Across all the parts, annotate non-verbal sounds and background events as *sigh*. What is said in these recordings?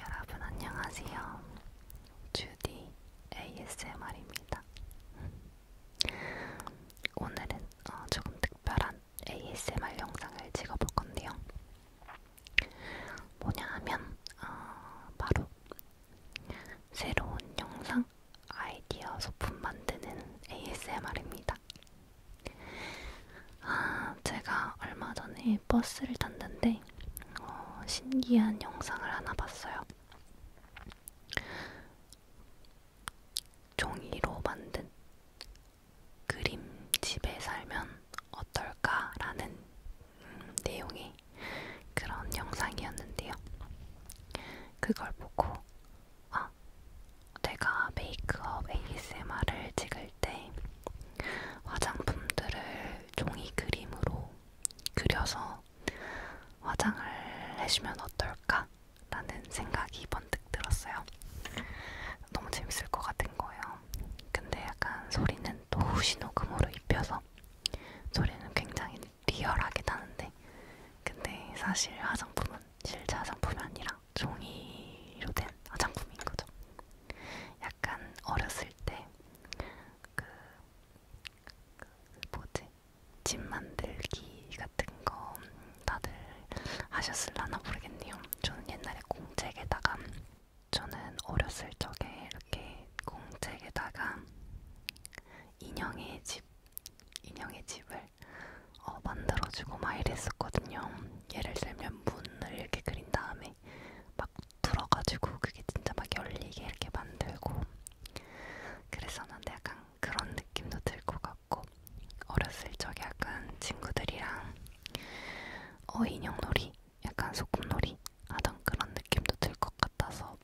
여러분 안녕하세요. 주디 ASMR입니다. 오늘은 어, 조금 특별한 ASMR 영상을 찍어볼 건데요. 뭐냐 하면 어, 바로 새로운 영상 아이디어 소품 만드는 ASMR입니다. 아, 제가 얼마 전에 버스를 탔는데 어, 신기한 영상을 하나 봤어요. 종이로 만든 그림집에 살면 어떨까라는 음, 내용의 그런 영상이었는데요. 그걸 보고 아, 내가 메이크업 ASMR을 찍을 때 화장품들을 종이 그림으로 그려서 화장을 해주면 어떨까라는 생각이 번뜩 들었어요. 너무 재밌을 것 같은 거예요. 근데 약간 소리는 또 후시노금으로 입혀서 소리는 굉장히 리얼하게 나는데 근데 사실 화장품은 실제 화장품이 아니라 종이로 된 화장품인 거죠. 약간 어렸을 때그 그 뭐지? 집 만들기 같은 거 다들 하셨을라나 모르겠네요. 저는 옛날에 공책에다가 저는 어렸을 적에 이렇게 공책에다가 인형의 집, 인형의 집을 어, 만들어주고 막 이랬었거든요. 예를 들면 문을 이렇게 그린 다음에 막 들어가지고 그게 진짜 막 열리게 이렇게 만들고 그랬었는데 약간 그런 느낌도 들고 같고 어렸을 적에 약간 친구들이랑 어 인형놀이, 약간 소꿉놀이 하던 그런 느낌도 들 것 같아서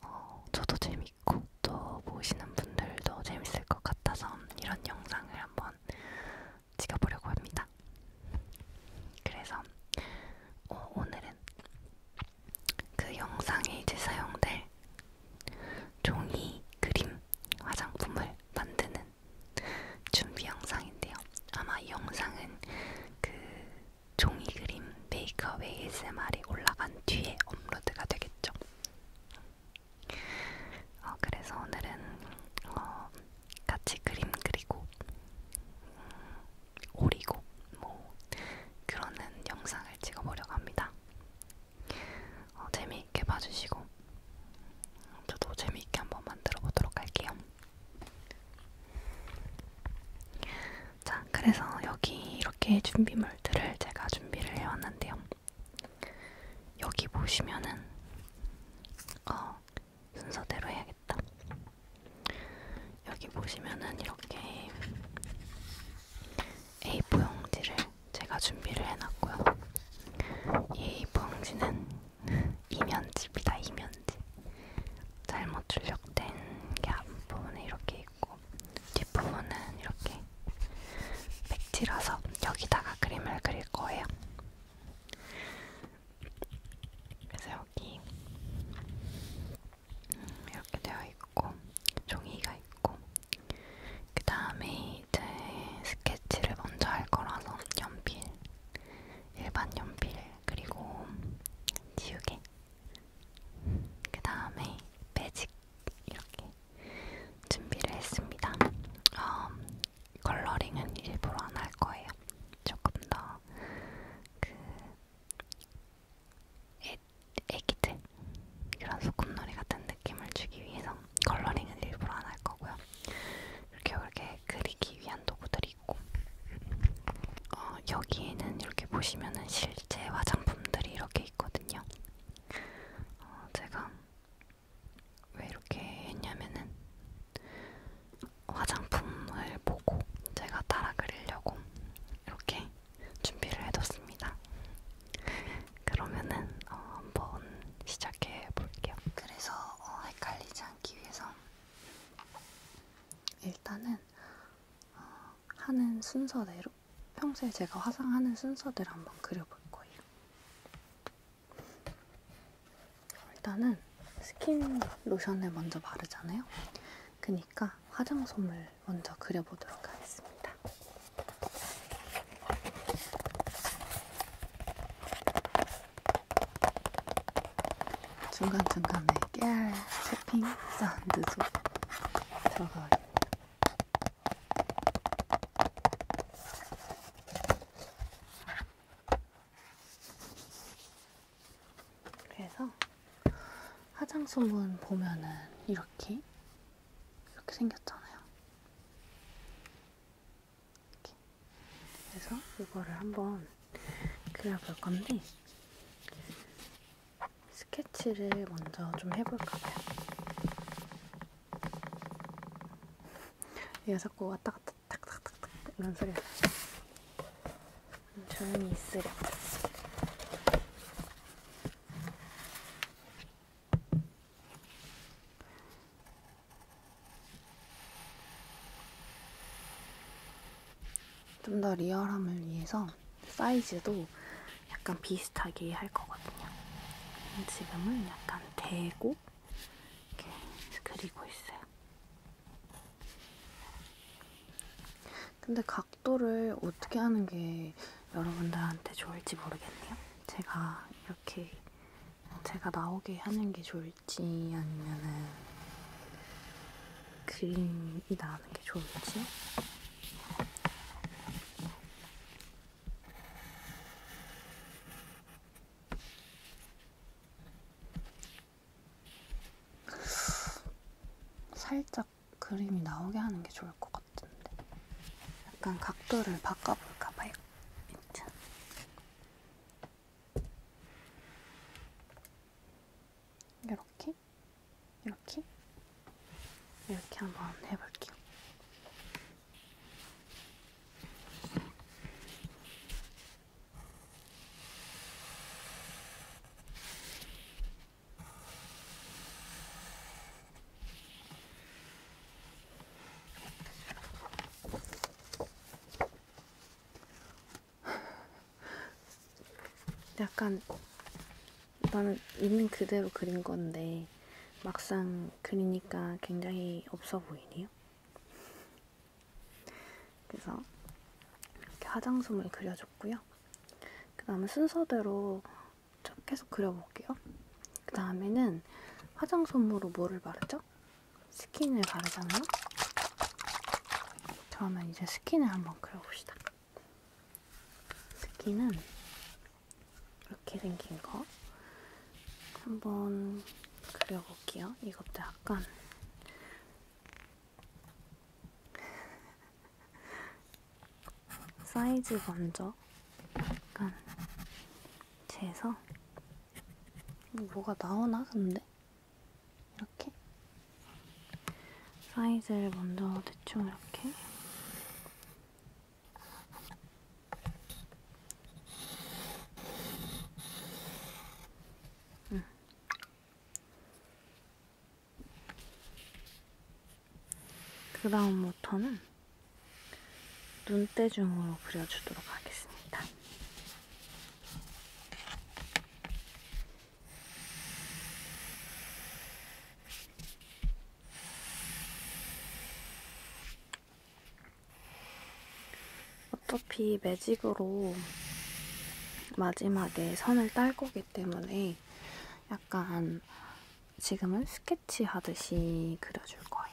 어, 저도 재밌고 또 보시는 분들도 재밌을 것 같아서 이런 영상을 한번 찍어보려고 합니다. 그래서 어, 오늘은 그 영상에 이제 사용될 종이 그림 화장품을 만드는 준비 영상인데요. 아마 이 영상은 그 종이 그림 메이크업 ASMR이 올라간 뒤에 업로드가 되겠죠. 어, 그래서 오늘은 어, 같이 그림 그리고 음, 오리고 뭐 그러는 영상을 찍어보려고 합니다. 어, 재미 재미있게 봐주시고 저도 재미있게 한번 만들어 보도록 할게요. 자, 그래서 여기 이렇게 준비물들을 제가 준비를 해왔는데요. 여기 보시면은 어, 순서대로 해야겠다. 여기 보시면은 이렇게 A4용지를 제가 준비를 해놨고요. 이 봉지는 *laughs* 이면지입니다. 이면지. 잘못 출력된 게 앞부분에 이렇게 있고 뒷부분은 이렇게 백지라서 여기다가 그림을 그릴 거예요. 그래서 여기 음, 이렇게 되어 있고 종이가 있고 그 다음에 이제 스케치를 먼저 할 거라서 연필, 일반 연필, 그리고 지우개, 그 다음에 매직 이렇게 준비를 했습니다. 어, 컬러링은 일부러 안 할 거예요. 조금 더그 애기들 그런 소꿉놀이 같은 느낌을 주기 위해서 있고요. 컬러링은 일부러 안 할 거고요. 이렇게 이렇게 그리기 위한 도구들이 있고 어, 여기에는 이렇게 보시면은 실제 화장품들이 이렇게 있거든요. 어, 제가 왜 이렇게 했냐면은 화장품을 보고 제가 따라 그리려고 이렇게 준비를 해뒀습니다. 그러면은 어, 한번 시작해 볼게요. 그래서 어, 헷갈리지 않기 위해서 일단은 어, 하는 순서대로 평소에 제가 화상하는 순서대로 한번 그려볼 거예요. 일단은 스킨 로션을 먼저 바르잖아요. 그니까 화장솜을 먼저 그려보도록 하겠습니다. 중간중간에 깨알 채핑 사운드도 들어가요. 그래서 화장솜은 보면은 이렇게 이렇게 생겼잖아요. 이렇게. 그래서 이거를 한번 그려볼 건데 스케치를 먼저 좀 해볼까 봐요. 얘가 자꾸 왔다 갔다 탁탁탁탁 이런 소리가 조용히 있으려. 좀더 리얼함을 위해서 사이즈도 약간 비슷하게 할 거거든요. 지금은 약간 대고 이렇게 그리고 있어요. 근데 각도를 어떻게 하는 게 여러분들한테 좋을지 모르겠네요. 제가 이렇게 제가 나오게 하는 게 좋을지 아니면은 그림이 나는 게 좋을지 살짝 그림이 나오게 하는 게 좋을 것 같은데 약간 각도를 바꿔볼까 봐요. 밑창. 이렇게, 이렇게, 이렇게 한번 해볼게요. 약간 나는 있는 그대로 그린 건데 막상 그리니까 굉장히 없어 보이네요. 그래서 이렇게 화장솜을 그려줬고요. 그 다음에 순서대로 계속 그려볼게요. 그 다음에는 화장솜으로 뭐를 바르죠? 뭐였죠? 스킨을 바르잖아요? 그러면 이제 스킨을 한번 그려봅시다. 스킨은 이렇게 생긴 거 한번 그려볼게요. 이것도 약간 *laughs* 사이즈 먼저 약간 재서 뭐가 나오나 근데 이렇게 사이즈를 먼저 대충 이렇게 음. 그 다음부터는 눈대중으로 그려주도록 하겠습니다. 어차피 매직으로 마지막에 선을 딸 거기 때문에 약간 지금은 스케치 하듯이 그려줄 거예요.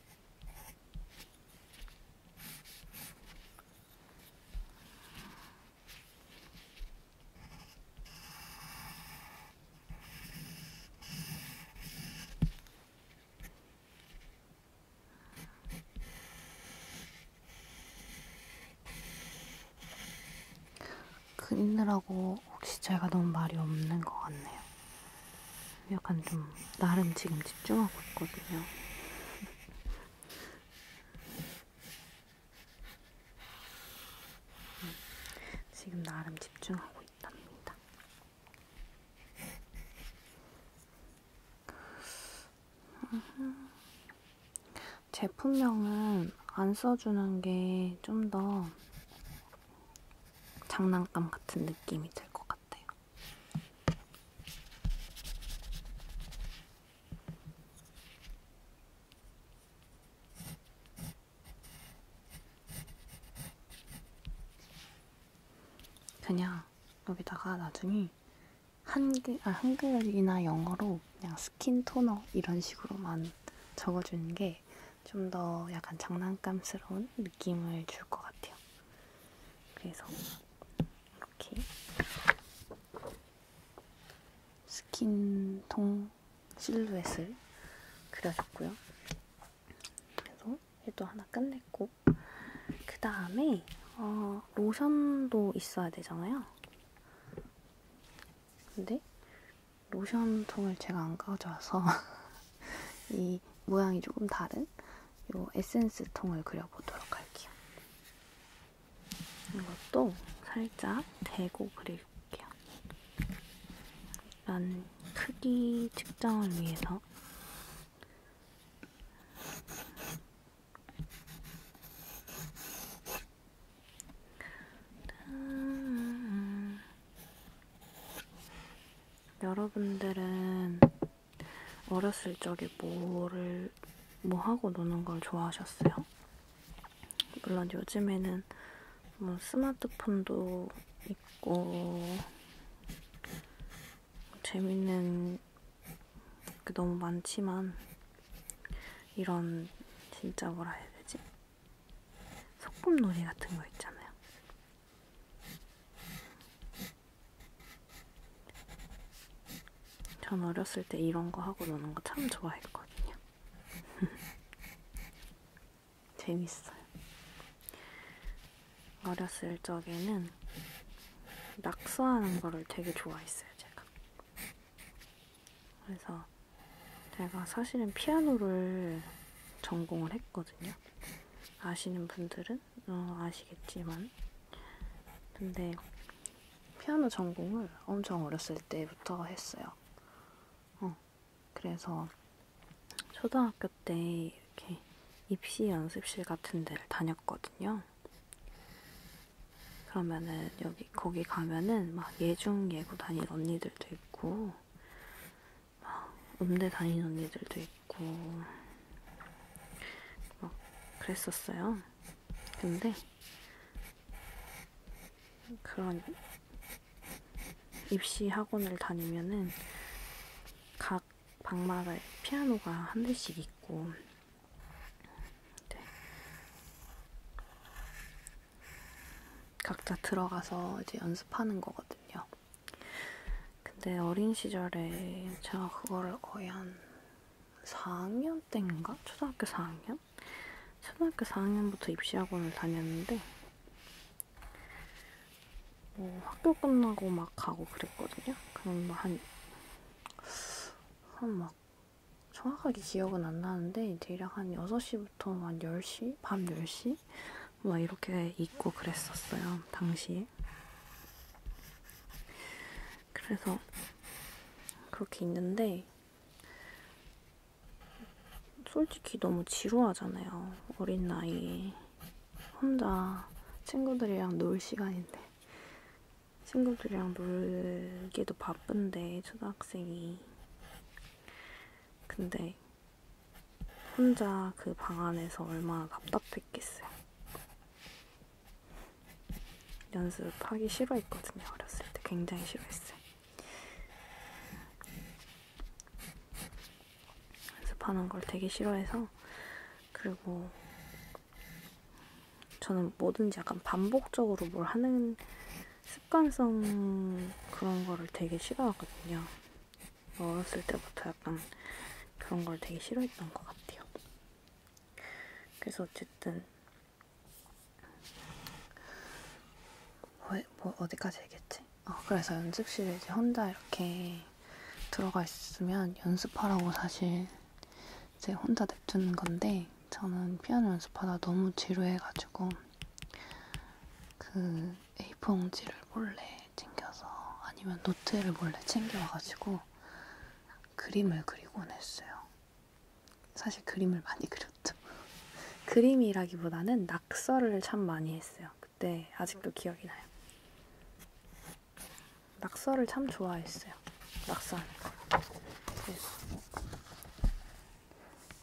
그리느라고 혹시 제가 너무 말이 없는 것 같네요. 약간 좀 나름 지금 집중하고 있거든요. 음, 지금 나름 집중하고 있답니다. 제품명은 안 써주는 게 좀 더 장난감 같은 느낌이 들 것 같아요. 그냥 여기다가 나중에 한글, 아, 한글이나 영어로 그냥 스킨 토너 이런 식으로만 적어주는 게 좀 더 약간 장난감스러운 느낌을 줄 것 같아요. 그래서 이렇게 스킨통 실루엣을 그려줬고요. 그래서 얘도 하나 끝냈고 그 다음에 어, 로션도 있어야 되잖아요. 근데 로션통을 제가 안 가져와서 *laughs* 이 모양이 조금 다른 이 에센스 통을 그려보도록 할게요. 이것도 살짝 대고 그려줄게요. 난 크기 측정을 위해서 여러분들은 어렸을 적에 뭐를 뭐 하고 노는 걸 좋아하셨어요? 물론 요즘에는 뭐 스마트폰도 있고 재밌는 게 너무 많지만 이런 진짜 뭐라 해야 되지? 소꿉놀이 같은 거 있잖아요. 전 어렸을 때 이런 거 하고 노는 거 참 좋아했거든요. *laughs* 재밌어요. 어렸을 적에는 낙서하는 거를 되게 좋아했어요, 제가. 그래서 제가 사실은 피아노를 전공을 했거든요. 아시는 분들은 분들은 어, 아시겠지만 근데 피아노 전공을 엄청 어렸을 때부터 했어요. 어, 그래서 초등학교 때 이렇게 입시 연습실 같은 데를 다녔거든요. 그러면은 여기 거기 가면은 막 예중 예고 다니는 언니들도 있고 막 음대 다니는 언니들도 있고 막 그랬었어요. 근데 그런 입시 학원을 다니면은 각 방마다 피아노가 한 대씩 있고 네. 각자 들어가서 이제 연습하는 거거든요. 근데 어린 시절에 제가 그거를 거의 한 4학년 때인가? 초등학교 4학년? 초등학교 4학년부터 입시학원을 다녔는데 뭐 학교 끝나고 막 가고 그랬거든요. 그냥 한, 한 막, 정확하게 기억은 안 나는데 대략 한 6시부터 한 10시? 밤 10시? 막 이렇게 있고 그랬었어요. 당시에. 사이에. 그래서 그렇게 있는데, 솔직히 너무 지루하잖아요. 어린 나이에. 혼자 친구들이랑 놀 시간인데. 친구들이랑 놀기도 바쁜데, 초등학생이. 근데 혼자 그 방 안에서 얼마나 답답했겠어요. 연습하기 싫어했거든요. 어렸을 때 굉장히 싫어했어요. 연습하는 걸 되게 싫어해서 그리고 저는 뭐든지 약간 반복적으로 뭘 하는 습관성 그런 거를 되게 싫어하거든요. 어렸을 때부터 약간 그런 걸 되게 싫어했던 것 같아요. 그래서 어쨌든 뭐, 뭐 어디까지 얘기했지? 어, 그래서 연습실에 이제 혼자 이렇게 들어가 있으면 연습하라고 사실 이제 혼자 냅두는 건데 저는 피아노 연습하다 너무 지루해가지고 그 A4 용지를 몰래 챙겨서 아니면 노트를 몰래 챙겨와가지고 그림을 그리곤 했어요. 사실 그림을 많이 그렸죠. *laughs* 그림이라기보다는 낙서를 참 많이 했어요. 그때 아직도 기억이 나요. 낙서를 참 좋아했어요. 낙서하는 거. 그래서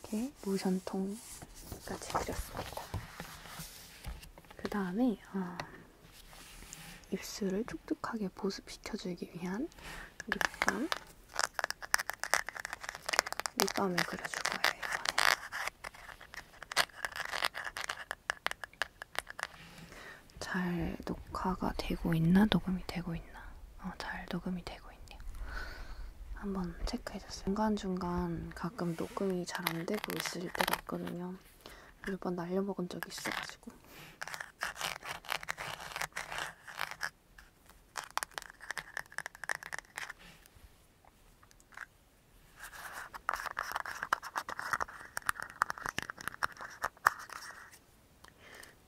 이렇게 모션통까지 그렸습니다. 그 다음에 어, 입술을 촉촉하게 보습시켜주기 위한 립밤. 립밤을 그려줄 거예요, 이번에. 잘 녹화가 되고 있나? 녹음이 되고 있나? 어, 잘 녹음이 되고 있네요. 한번 체크해줬어요. 중간중간 가끔 녹음이 잘 안 되고 있을 때가 있거든요. 몇번 날려먹은 적이 있어가지고.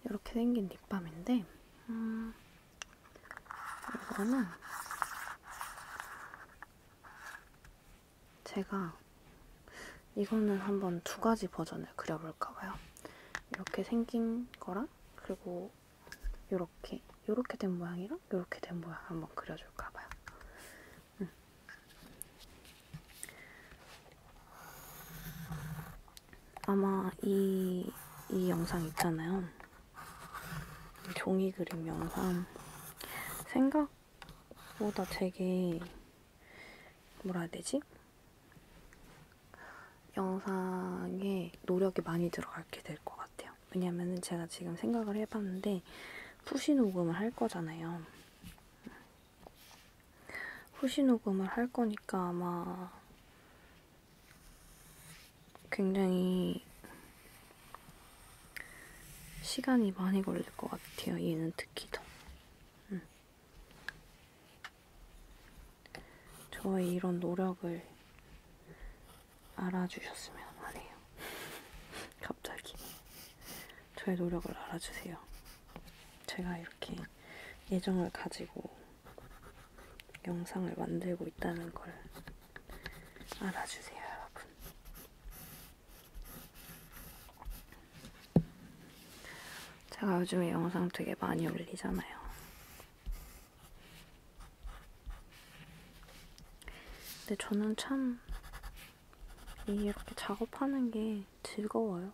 이렇게 생긴 립밤인데, 음, 이거는 제가 이거는 한번 두 가지 버전을 그려볼까봐요. 이렇게 생긴 거랑 그리고 이렇게 이렇게 된 모양이랑 이렇게 된 모양 한번 그려줄까봐요. 음. 아마 이, 이 영상 있잖아요. 종이 그림 영상. 생각 보다 되게 뭐라 해야 되지? 영상에 노력이 많이 들어가게 될 것 같아요. 왜냐면은 제가 지금 생각을 해봤는데 후시 녹음을 할 거잖아요. 후시 녹음을 할 거니까 아마 굉장히 시간이 많이 걸릴 것 같아요. 얘는 특히 더. 응. 음. 저의 이런 노력을 알아주셨으면 하네요. *laughs* 갑자기. 저의 노력을 알아주세요. 제가 이렇게 예정을 가지고 영상을 만들고 있다는 걸 알아주세요, 여러분. 제가 요즘에 영상 되게 많이 올리잖아요. 근데 저는 참 이렇게 작업하는 게 즐거워요.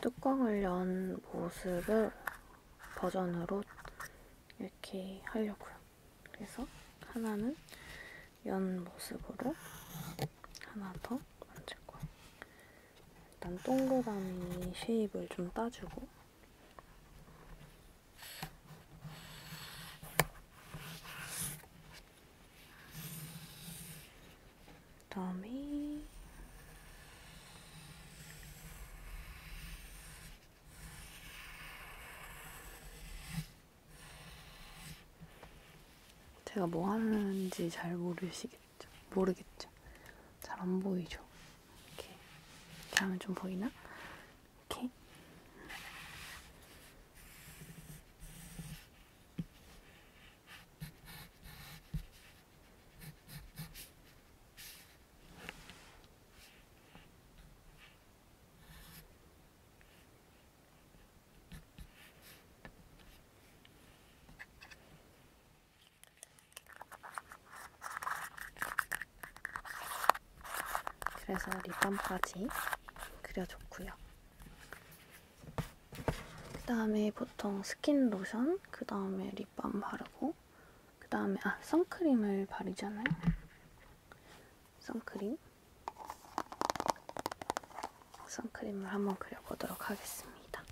뚜껑을 연 모습을 버전으로 이렇게 하려고요. 그래서 하나는 연 모습으로 하나 더 만들 거예요. 일단 동그라미 쉐입을 좀 따주고 그다음에 제가 뭐 하는지 잘 모르시겠죠? 모르겠죠? 잘 안 보이죠? 이렇게. 이렇게 하면 좀 보이나? 이렇게. 그래서 립밤까지 그려줬고요. 그 다음에 보통 스킨 로션, 그 다음에 립밤 바르고, 그 다음에 아 선크림을 바르잖아요. 선크림. 선크림을 한번 그려보도록 하겠습니다.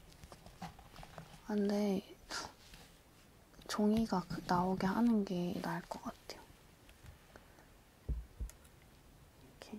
아, 근데 종이가 그 나오게 하는 게 나을 것 같아요. 이렇게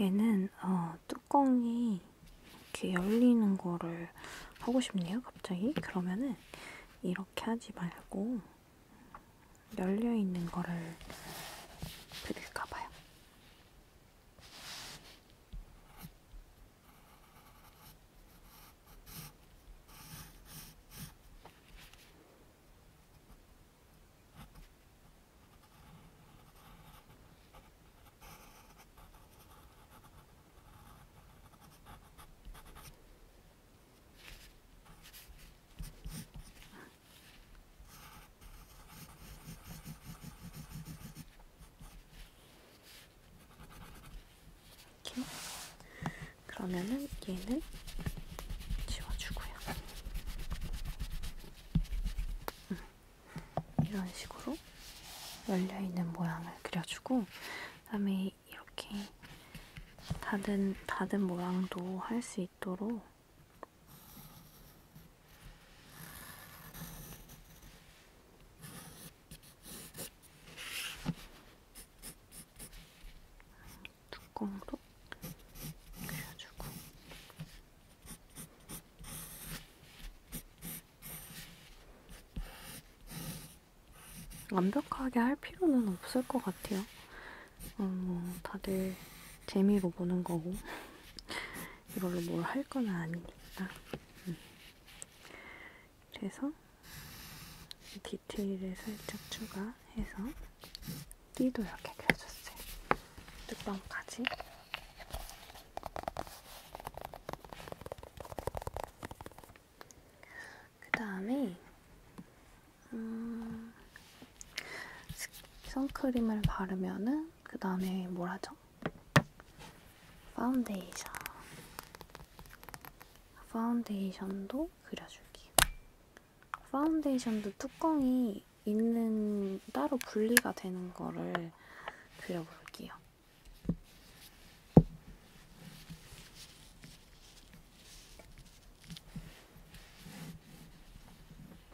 얘는 어, 뚜껑이 이렇게 열리는 거를 하고 싶네요, 갑자기. 그러면은 이렇게 하지 말고 열려있는 거를 드릴까봐요. 이렇게 그러면은 얘는 지워주고요. 음. 이런 식으로 열려있는 모양을 그려주고 그다음에 이렇게 닫은, 닫은 모양도 할 수 있도록 뚜껑도 그려주고 완벽하게 할 필요는 없을 것 같아요. 어, 뭐 다들 재미로 보는 거고 이걸로 뭘 할 건 아니니까 음. 그래서 디테일을 살짝 추가해서 띠도 이렇게 그려줬어요. 뚜껑까지. 그 다음에 음, 선크림을 바르면은 그 다음에 뭘 하죠? 파운데이션. 파운데이션도 그려줄게요. 파운데이션도 뚜껑이 있는 따로 분리가 되는 거를 그려볼게요.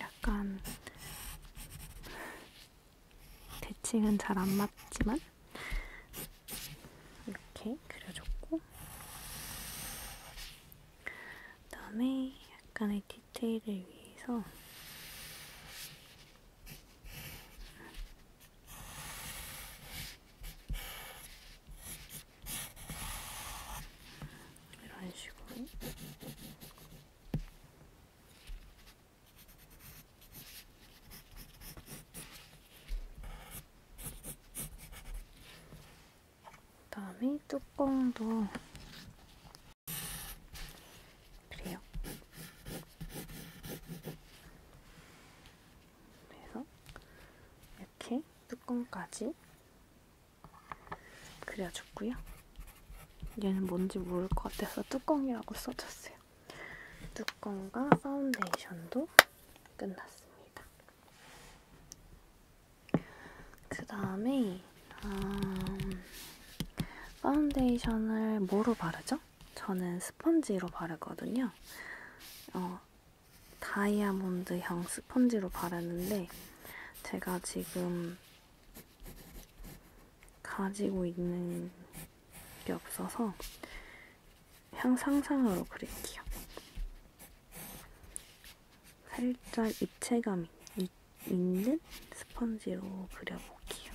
약간 대칭은 잘 안 맞지만 이렇게 그려줬고 그 다음에 약간의 디테일을 위해서 이런 식으로 그다음에 뚜껑도 그래요. 그래서 이렇게 뚜껑까지 그려줬고요. 얘는 뭔지 모를 것 같아서 뚜껑이라고 써줬어요. 같아요. 뚜껑과 파운데이션도 끝났습니다. 그 다음에 음, 파운데이션을 뭐로 바르죠? 저는 스펀지로 바르거든요. 어, 다이아몬드형 스펀지로 바르는데 제가 지금 가지고 있는 게 없어서 향상상으로 그릴게요. 살짝 입체감 이, 있는 스펀지로 그려볼게요.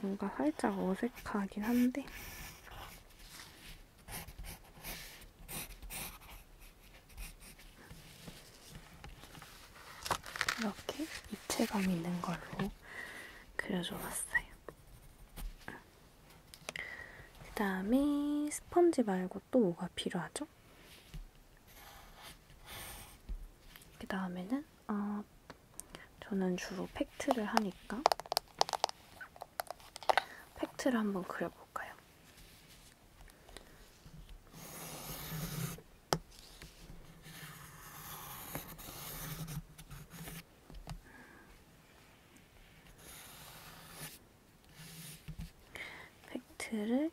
뭔가 살짝 어색하긴 한데 이렇게 입체감 있는 걸로 그려줘봤어요. 그 다음에 스펀지 말고 또 뭐가 필요하죠? 그 다음에는 어, 저는 주로 팩트를 하니까 팩트를 한번 그려볼까요? 팩트를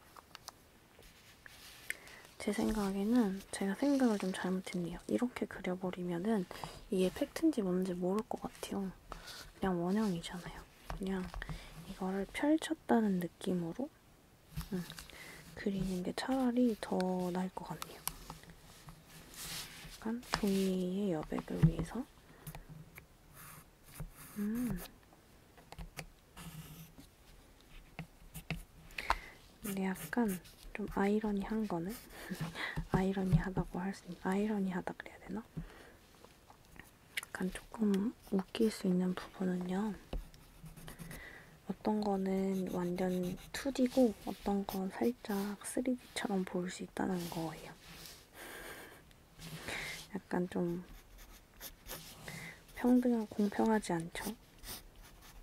제 생각에는 제가 생각을 좀 잘못했네요. 이렇게 그려버리면은 이게 팩트인지 뭔지 모를 것 같아요. 그냥 원형이잖아요. 그냥 이거를 펼쳤다는 느낌으로 음, 그리는 게 차라리 더 나을 것 같네요. 약간 종이의 여백을 위해서 음. 근데 약간 좀 아이러니한 거는 *laughs* 아이러니하다고 할 수 있는 아이러니하다 그래야 되나? 약간 조금 웃길 수 있는 부분은요. 어떤 거는 완전 2D고 어떤 건 살짝 3D처럼 보일 수 있다는 거예요. 약간 좀 평등하고 공평하지 않죠?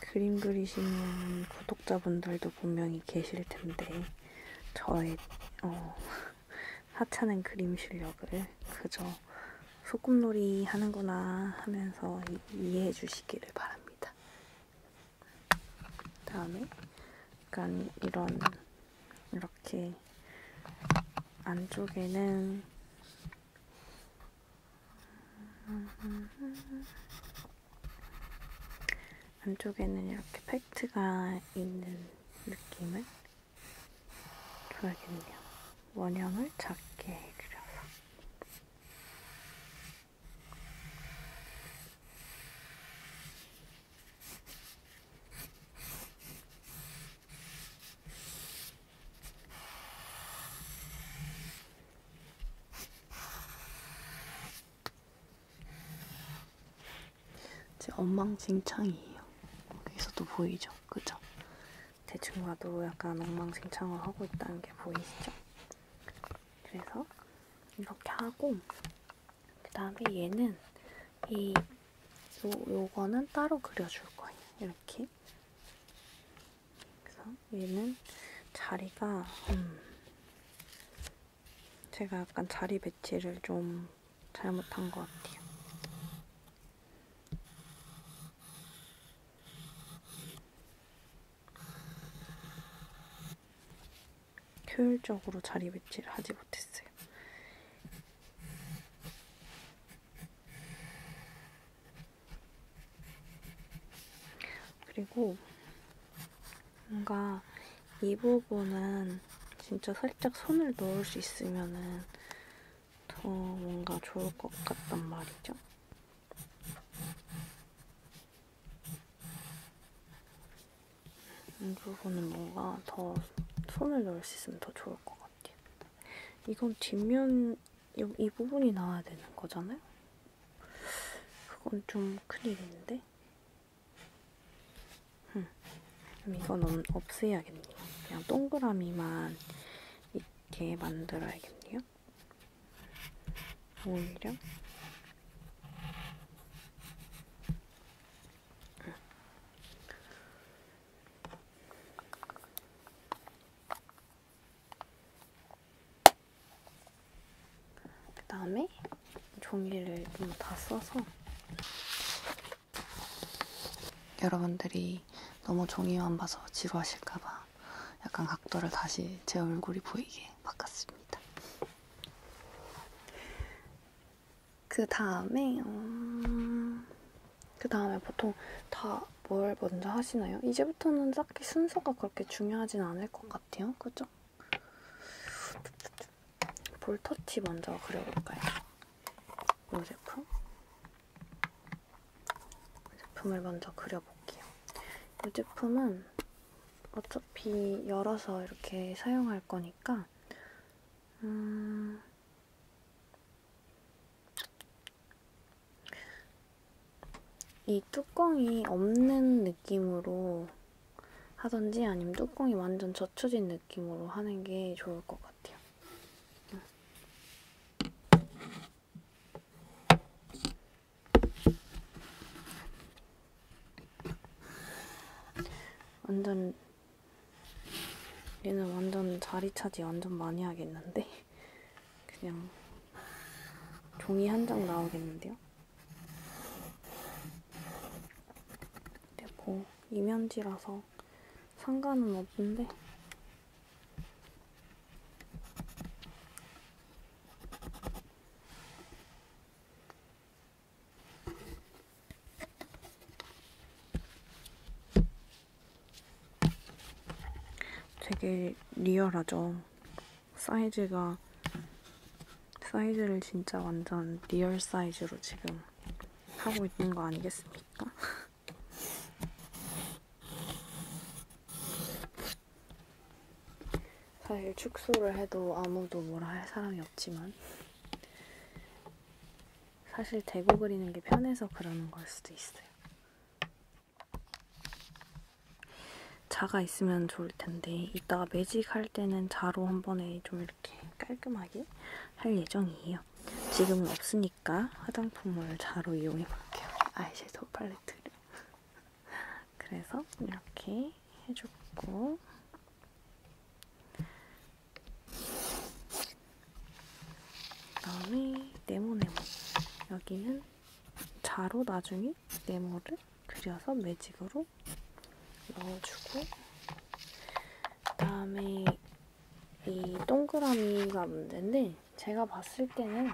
그림 그리시는 구독자분들도 분명히 계실 텐데, 저의 어, *laughs* 하찮은 그림 실력을 그저 소꿉놀이 하는구나 하면서 이해해 주시기를 바랍니다. 다음에 약간 이런 이렇게 안쪽에는 안쪽에는 이렇게 팩트가 있는 느낌을 줘야겠네요. 원형을 작게 그려서 제 엉망진창이에요. 여기서도 보이죠? 그죠? 대충 봐도 약간 엉망진창을 하고 있다는 게 보이시죠? 그래서 이렇게 하고 그 다음에 얘는 이 요, 요거는 따로 그려줄 거예요. 이렇게. 그래서 얘는 자리가 음, 제가 약간 자리 배치를 좀 잘못한 것 같아요. 효율적으로 자리 배치를 하지 못했어요. 그리고 뭔가 이 부분은 진짜 살짝 손을 넣을 수 있으면은 더 뭔가 좋을 것 같단 말이죠. 이 부분은 뭔가 더 손을 넣을 수 있으면 더 좋을 것 같아요. 이건 뒷면 이 부분이 나와야 되는 거잖아요. 그건 좀 큰일인데. 음, 그럼 이건 없애야겠네요. 그냥 동그라미만 이렇게 만들어야겠네요. 오히려 그 다음에 종이를 좀 다 써서 여러분들이 너무 종이만 봐서 지루하실까봐 약간 각도를 다시 제 얼굴이 보이게 바꿨습니다. 그 다음에 어... 그 다음에 보통 다 뭘 먼저 하시나요? 이제부터는 딱히 순서가 그렇게 중요하진 않을 것 같아요. 그죠? 볼터치 먼저 그려볼까요? 이 제품? 이 제품을 먼저 그려볼게요. 이 제품은 어차피 열어서 이렇게 사용할 거니까 음... 이 뚜껑이 없는 느낌으로 하던지 아니면 뚜껑이 완전 젖혀진 느낌으로 하는 게 좋을 것 같아요. 완전 얘는 완전 자리 차지 완전 많이 하겠는데? 그냥 종이 한 장 나오겠는데요? 근데 뭐 이면지라서 상관은 없는데 되게 리얼하죠. 사이즈가 사이즈를 진짜 완전 리얼 사이즈로 지금 하고 있는 거 아니겠습니까? *laughs* 사실 축소를 해도 아무도 뭐라 할 사람이 없지만 사실 대고 그리는 게 편해서 그러는 걸 수도 있어요. 자가 있으면 좋을 텐데 이따가 매직할 때는 자로 한 번에 좀 이렇게 깔끔하게 할 예정이에요. 지금은 없으니까 화장품을 자로 이용해 볼게요. 아이섀도우 팔레트를. *laughs* 그래서 이렇게 해줬고 그다음에 네모네모. 여기는 자로 나중에 네모를 그려서 매직으로 넣어주고 그다음에 이 동그라미가 문제인데 제가 봤을 때는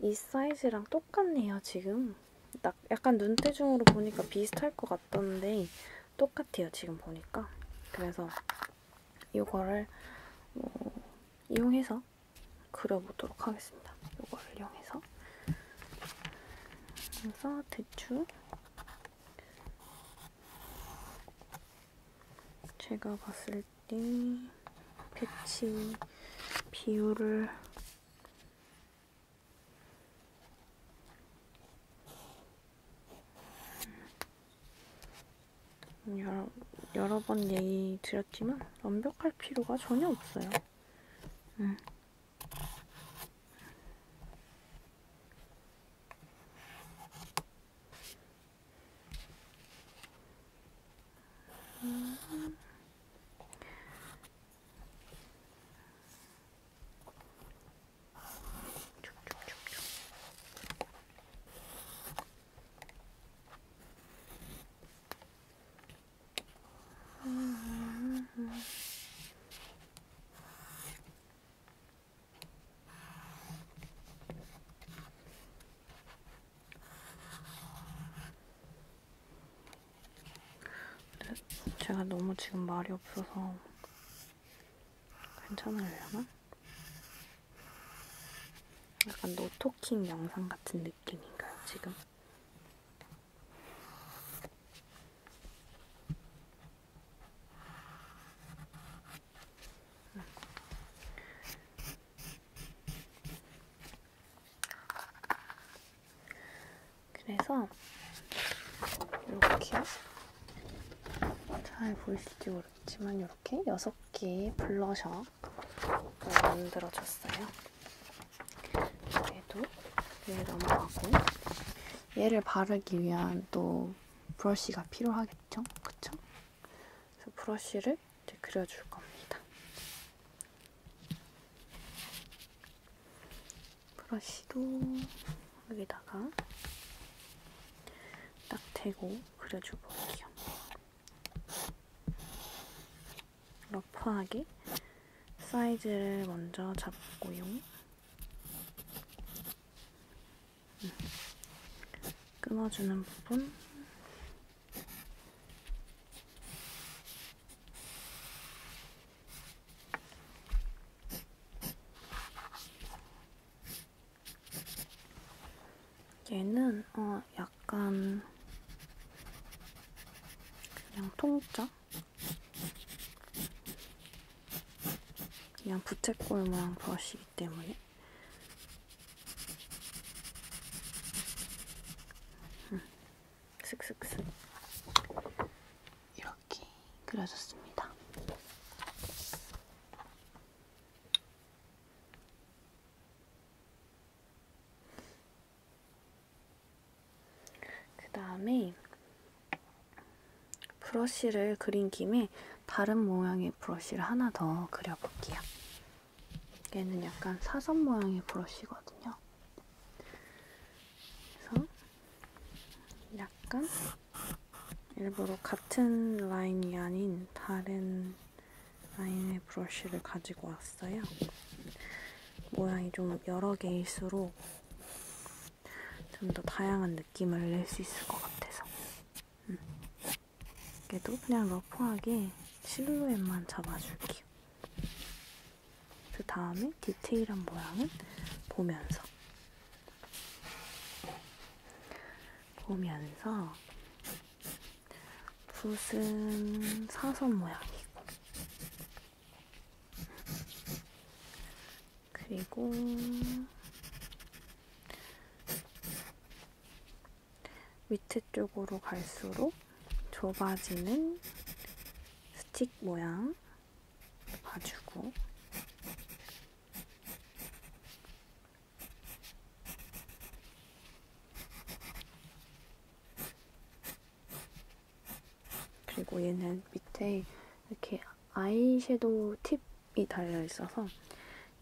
이 사이즈랑 똑같네요 지금 딱 약간 눈대중으로 보니까 비슷할 것 같던데 똑같아요 지금 보니까 그래서 요거를 뭐 이용해서 그려보도록 하겠습니다. 요거를 이용해서 그래서 대충 제가 봤을 때 패치 비율을 음, 여러, 여러 번 얘기 드렸지만 완벽할 필요가 전혀 없어요. 음. 음. 제가 너무 지금 말이 없어서 괜찮으려나? 약간 노토킹 영상 같은 느낌인가요, 지금? 그래서 이렇게 잘 보이실지 모르겠어요. 모르겠지만 이렇게 6개 블러셔 만들어줬어요. 얘도 위에 넘어가고 얘를 바르기 위한 또 브러쉬가 필요하겠죠? 그쵸? 그래서 브러쉬를 이제 그려줄 겁니다. 브러쉬도 여기다가 딱 대고 그려줘 볼게요. 러프하게 사이즈를 먼저 잡고요. 음. 끊어주는 부분 얘는 어 약간 그냥 통짜? 그냥 부채꼴 모양 브러쉬이기 때문에 음, 슥슥슥 이렇게 그려졌습니다. 그 다음에 브러쉬를 그린 김에 다른 모양의 브러쉬를 하나 더 그려볼게요. 얘는 약간 사선 모양의 브러쉬거든요. 그래서 약간 일부러 같은 라인이 아닌 다른 라인의 브러쉬를 가지고 왔어요. 모양이 좀 여러 개일수록 좀 더 다양한 느낌을 낼 수 있을 것 같아서. 음. 얘도 그냥 러프하게 실루엣만 잡아줄게요. 그 다음에 디테일한 모양은 보면서 보면서 붓은 사선 모양이고 그리고 밑에 쪽으로 갈수록 좁아지는 스틱 모양 봐주고 그리고 얘는 밑에 이렇게 아이섀도우 팁이 달려있어서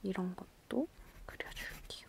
이런 것도 그려줄게요.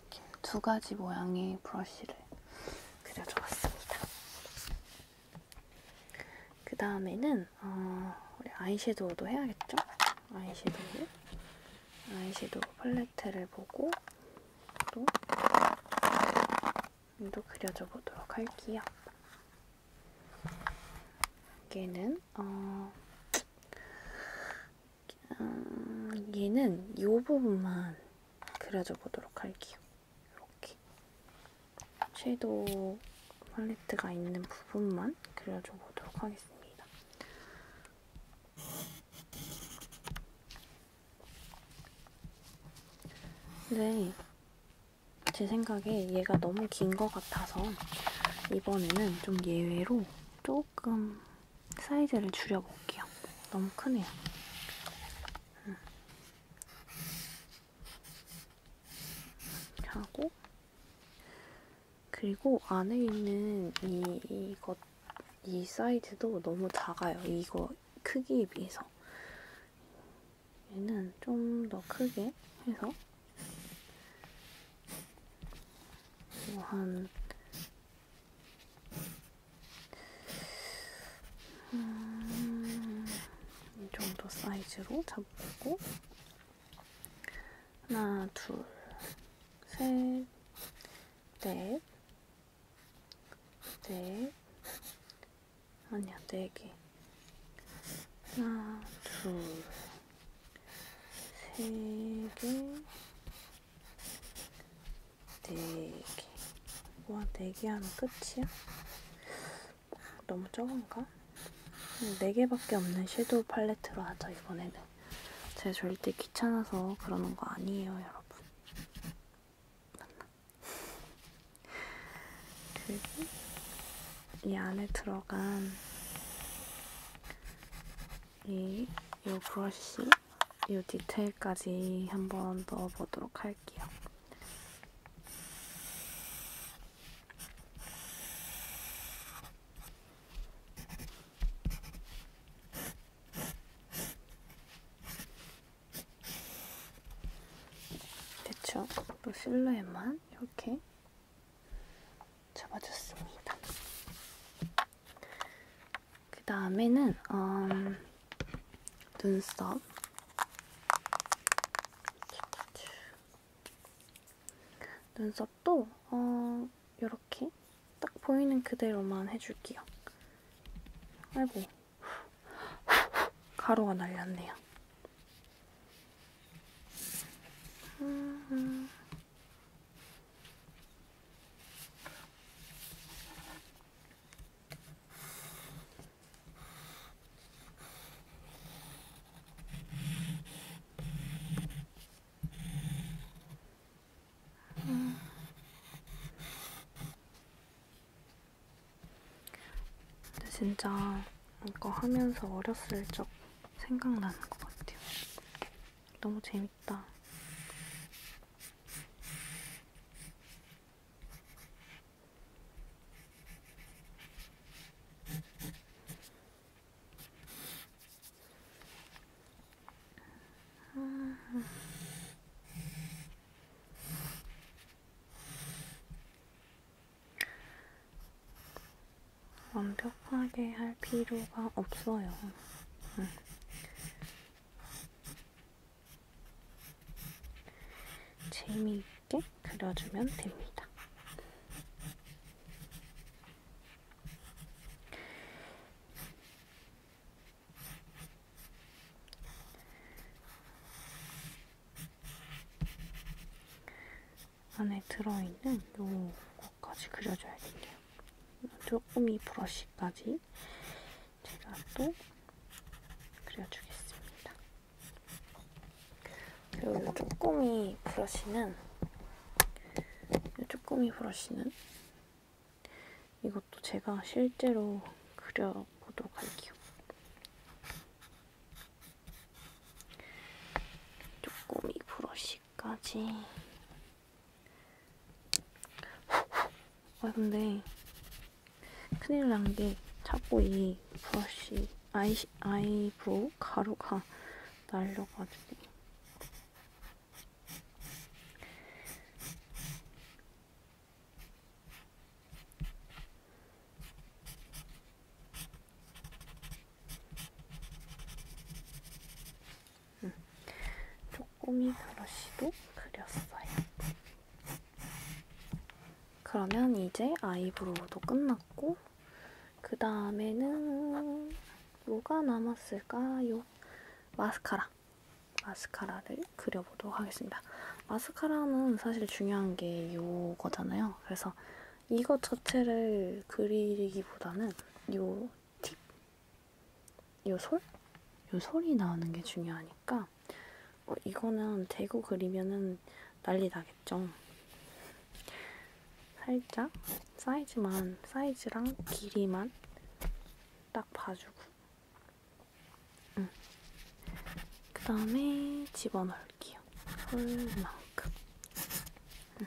이렇게 두 가지 모양의 브러쉬를 그려줘봤습니다. 그 다음에는 어, 우리 아이섀도우도 해야겠죠? 아이섀도우, 아이섀도우 팔레트를 보고 또또 그려줘 보도록 할게요. 얘는 어, 음, 얘는 이 부분만 그려줘 보도록 할게요. 이렇게 섀도우 팔레트가 있는 부분만 그려줘 보도록 하겠습니다. 근데 네. 제 생각에 얘가 너무 긴 것 같아서 이번에는 좀 예외로 조금 사이즈를 줄여볼게요. 너무 크네요. 하고 그리고 안에 있는 이 이것 이 사이즈도 너무 작아요. 이거 크기에 비해서 얘는 좀 더 크게 해서 뭐한 음, 이 정도 사이즈로 잡고 하나, 둘, 셋, 넷, 넷, 아니야, 네 개. 하나, 둘, 세 개, 네 개. 와, 네 개 하면 끝이야? 너무 적은가? 네 개밖에 없는 섀도우 팔레트로 하자, 이번에는. 제가 절대 귀찮아서 그러는 거 아니에요, 여러분. 맞나? 그리고 이 안에 들어간 이, 이 브러쉬 이 디테일까지 한번 넣어보도록 할게요. 대충 또 그 실루엣만 이렇게 잡아줬습니다. 그 다음에는 어, 음, 눈썹. 눈썹도 어, 이렇게 딱 보이는 그대로만 해줄게요. 아이고, 가루가 날렸네요. 음. 근데 진짜 이거 하면서 어렸을 적 생각나는 것 같아요. 너무 재밌다. 완벽하게 할 필요가 없어요. 응. 음. 재미있게 그려주면 됩니다. 안에 들어있는 요거까지 그려줘야 돼요. 조금 이 브러쉬까지 제가 또 그려주겠습니다. 그리고 쪼꼬미 브러쉬는 이 쪼꼬미 브러쉬는 이것도 제가 실제로 그려보도록 할게요. 쪼꼬미 브러쉬까지 아 근데 큰일 난 게 자꾸 이 브러쉬 아이 아이브로우 가루가 날려가지고 꼬미 브러쉬도 그렸어요. 그러면 이제 아이브로우도 끝났고 그 다음에는 뭐가 남았을까요? 마스카라! 마스카라를 그려보도록 하겠습니다. 마스카라는 사실 중요한 게 이거잖아요. 그래서 이것 자체를 그리기보다는 이 팁, 요 솔? 요 솔이 나오는 게 중요하니까 어, 이거는 대고 그리면은 난리 나겠죠. 살짝 사이즈만 사이즈랑 길이만 딱 봐주고 응. 그 다음에 집어넣을게요. 솔만큼 응.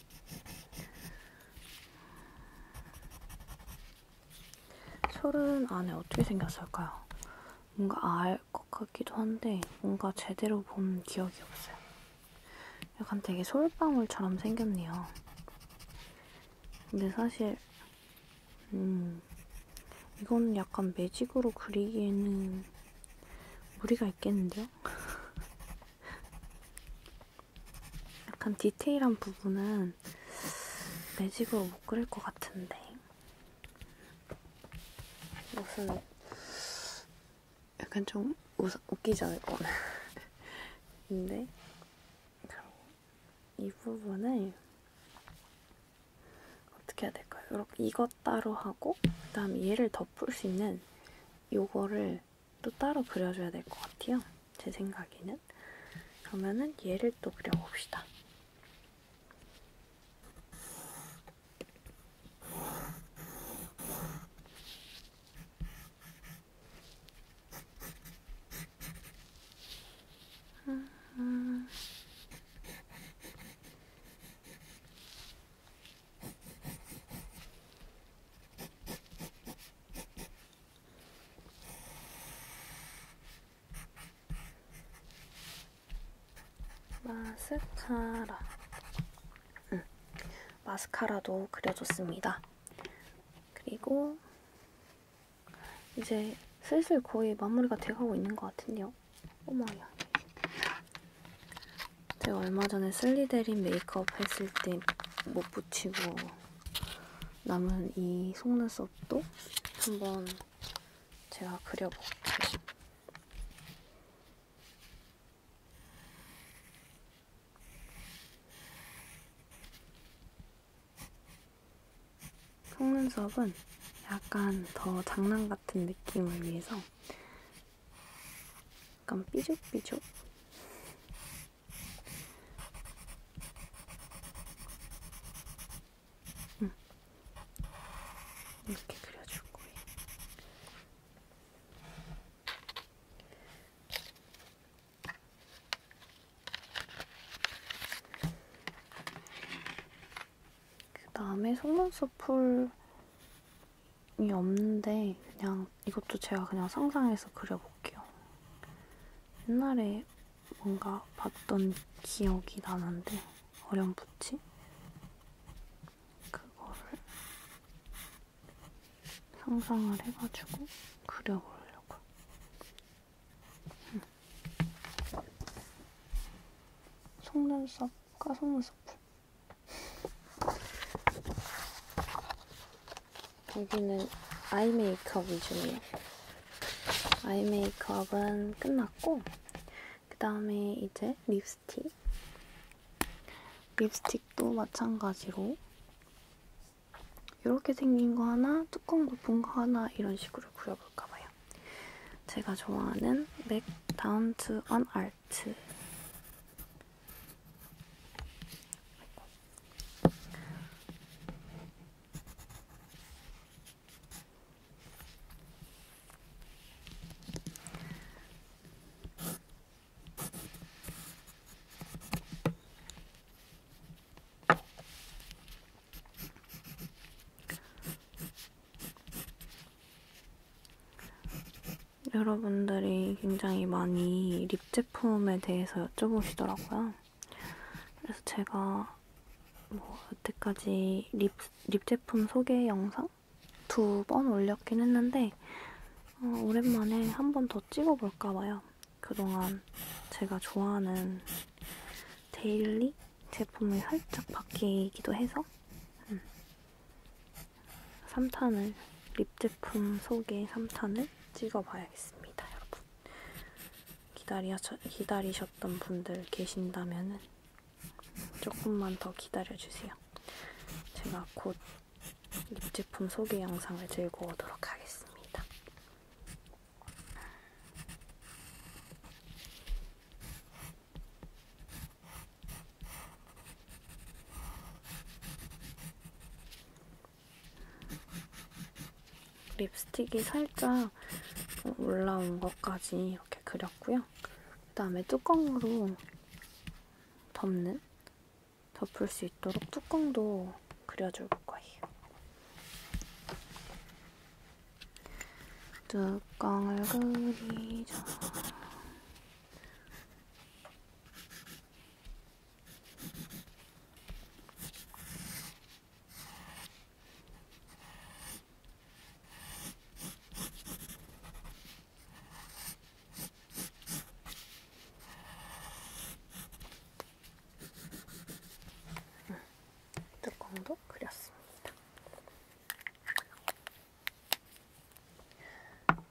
솔은 안에 어떻게 생겼을까요? 뭔가 알 것 같기도 한데 뭔가 제대로 본 기억이 없어요. 약간 되게 솔방울처럼 생겼네요. 근데 사실 음 이건 약간 매직으로 그리기에는 무리가 있겠는데요? *laughs* 약간 디테일한 부분은 매직으로 못 그릴 것 같은데 무슨 약간 좀 웃, 웃기잖아요 이거는 *laughs* 근데 이 부분을 어떻게 해야 될까요? 이렇게 이것 따로 하고 그다음 얘를 덮을 수 있는 요거를 또 따로 그려줘야 될 것 같아요. 제 생각에는. 그러면은 얘를 또 그려봅시다. 마스카라 음, 마스카라도 그려줬습니다. 그리고 이제 슬슬 거의 마무리가 돼가고 있는 것 같은데요. 어머야. 제가 얼마 전에 슬리데린 메이크업 했을 때 못 붙이고 남은 이 속눈썹도 한번 제가 그려볼게요. 속눈썹은 약간 더 장난 같은 느낌을 위해서 약간 삐죽삐죽 응. 이렇게 그려줄 거예요. 그 다음에 속눈썹 풀이 없는데 그냥 이것도 제가 그냥 상상해서 그려볼게요. 옛날에 뭔가 봤던 기억이 나는데 어렴풋이 그거를 상상을 해가지고 그려보려고. 음. 속눈썹과 속눈썹. 여기는 아이 메이크업 위주예요. 아이 메이크업은 끝났고 그 다음에 이제 립스틱 립스틱도 마찬가지로 이렇게 생긴 거 하나, 뚜껑 높은 거 하나 이런 식으로 그려볼까 봐요. 제가 좋아하는 맥 다운 투언 아트 여러분들이 굉장히 많이 립 제품에 대해서 여쭤보시더라고요. 그래서 제가 뭐 여태까지 립, 립 제품 소개 영상 두 번 올렸긴 했는데 어, 오랜만에 한 번 더 찍어볼까 봐요. 그동안 제가 좋아하는 데일리 제품이 살짝 바뀌기도 해서 음. 3탄을 립 제품 소개 3탄을 찍어봐야겠습니다, 여러분. 기다리셔, 기다리셨던 분들 계신다면은 조금만 더 기다려주세요. 제가 곧 립제품 소개 영상을 들고 오도록 하겠습니다. 립스틱이 살짝 올라온 것까지 이렇게 그렸고요. 그 다음에 뚜껑으로 덮는, 덮을 수 있도록 뚜껑도 그려줄 거예요. 뚜껑을 그리죠. 뚜껑도 그렸습니다.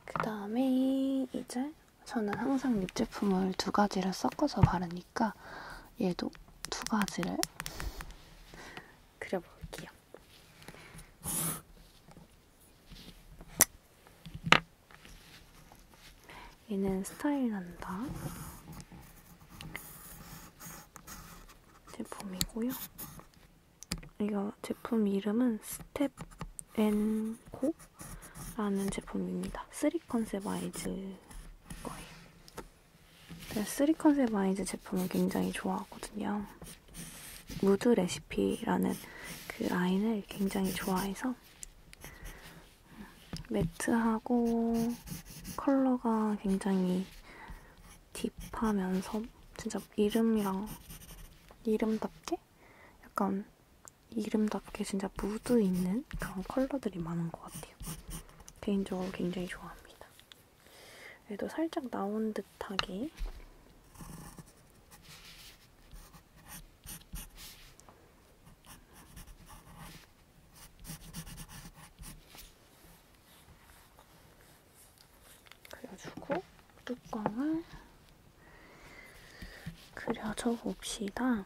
그 다음에 이제 저는 항상 립 제품을 두 가지를 섞어서 바르니까 얘도 두 가지를 그려볼게요. 얘는 스타일난다 제품이고요. 이거 제품 이름은 스텝 앤코 라는 제품입니다. 3 컨셉 아이즈 거예요. 제가 3 컨셉 아이즈 제품을 굉장히 좋아하거든요. 무드 레시피라는 그 라인을 굉장히 좋아해서 매트하고 컬러가 굉장히 딥하면서 진짜 이름이랑 이름답게 약간 이름답게 진짜 무드 있는 그런 컬러들이 많은 것 같아요. 개인적으로 굉장히 좋아합니다. 얘도 살짝 나온 듯하게 그려주고 뚜껑을 그려줘 봅시다.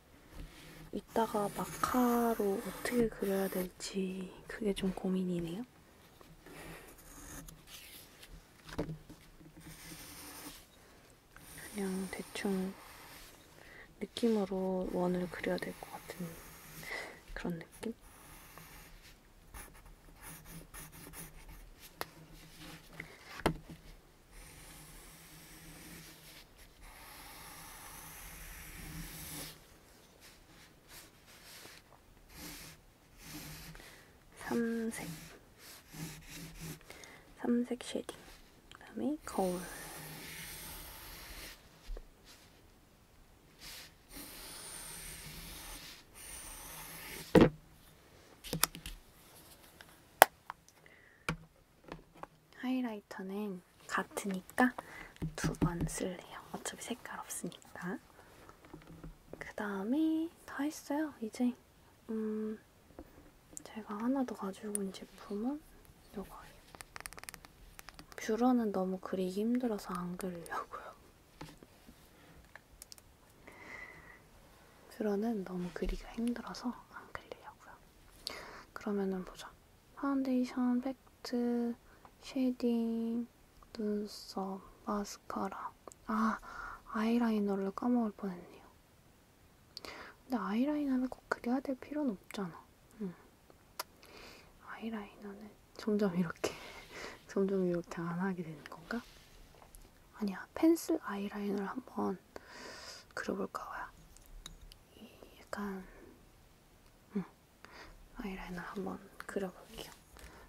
이따가 마카로 어떻게 그려야 될지 그게 좀 고민이네요. 그냥 대충 느낌으로 원을 그려야 될 것 같은 그런 느낌? 삼색 삼색 쉐딩 그 다음에 거울 하이라이터는 같으니까 두 번 쓸래요. 어차피 색깔 없으니까. 그 다음에 다 했어요. 이제 음 제가 하나 더 가지고 온 제품은 이거예요. 뷰러는 너무 그리기 힘들어서 안 그리려고요. 뷰러는 너무 그리기가 힘들어서 안 그리려고요. 그러면은 보자. 파운데이션, 팩트, 쉐딩, 눈썹, 마스카라. 아, 아이라이너를 까먹을 뻔했네요. 근데 아이라이너는 꼭 그려야 될 필요는 없잖아. 응. 음. 아이라이너는 점점 이렇게, *laughs* 점점 이렇게 안 하게 되는 건가? 아니야, 펜슬 아이라이너를 한번 그려볼까 봐요. 약간 응. 아이라이너 한번 그려볼게요.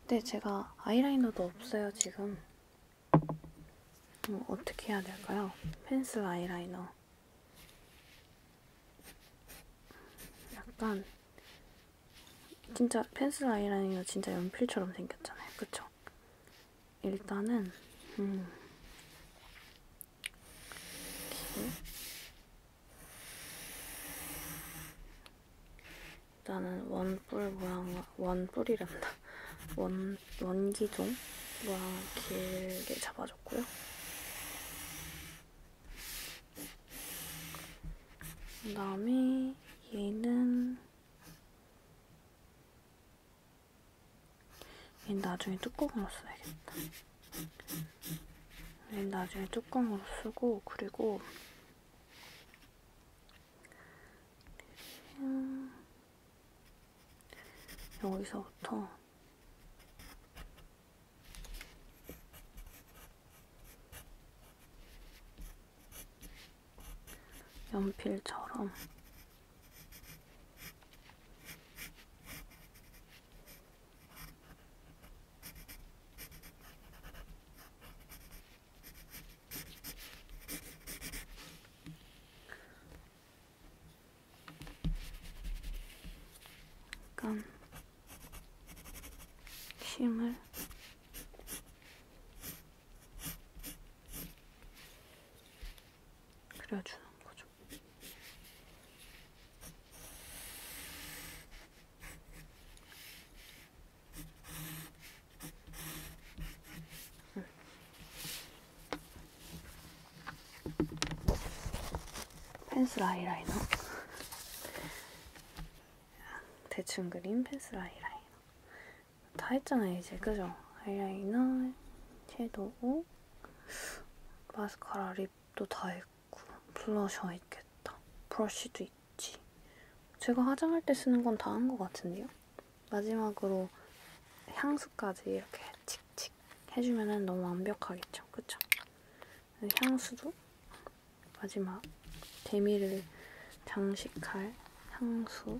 근데 제가 아이라이너도 없어요, 지금. 뭐 어떻게 해야 될까요? 펜슬 아이라이너. 약간 진짜 펜슬 아이라이너 진짜 연필처럼 생겼잖아요. 그쵸? 일단은 음 나는 원뿔 모양 원뿔이란다 원 원기종 모양 길게 잡아줬고요. 그다음에 얘는 얘는 나중에 뚜껑으로 써야겠다. 네, 나중에 뚜껑으로 쓰고 그리고 여기서부터 연필처럼 약간 힘을 그려주는 거죠. 펜슬 아이라이너 대충 그린 펜슬 아이라이너 다 했잖아요 이제 그죠? 아이라이너, 섀도우, 마스카라, 립도 다 했고 있고 블러셔 있겠다. 브러쉬도 있지. 제가 화장할 때 쓰는 건 다 한 것 같은데요? 마지막으로 향수까지 이렇게 칙칙 해주면 너무 완벽하겠죠? 그쵸? 향수도 마지막 데미를 장식할 향수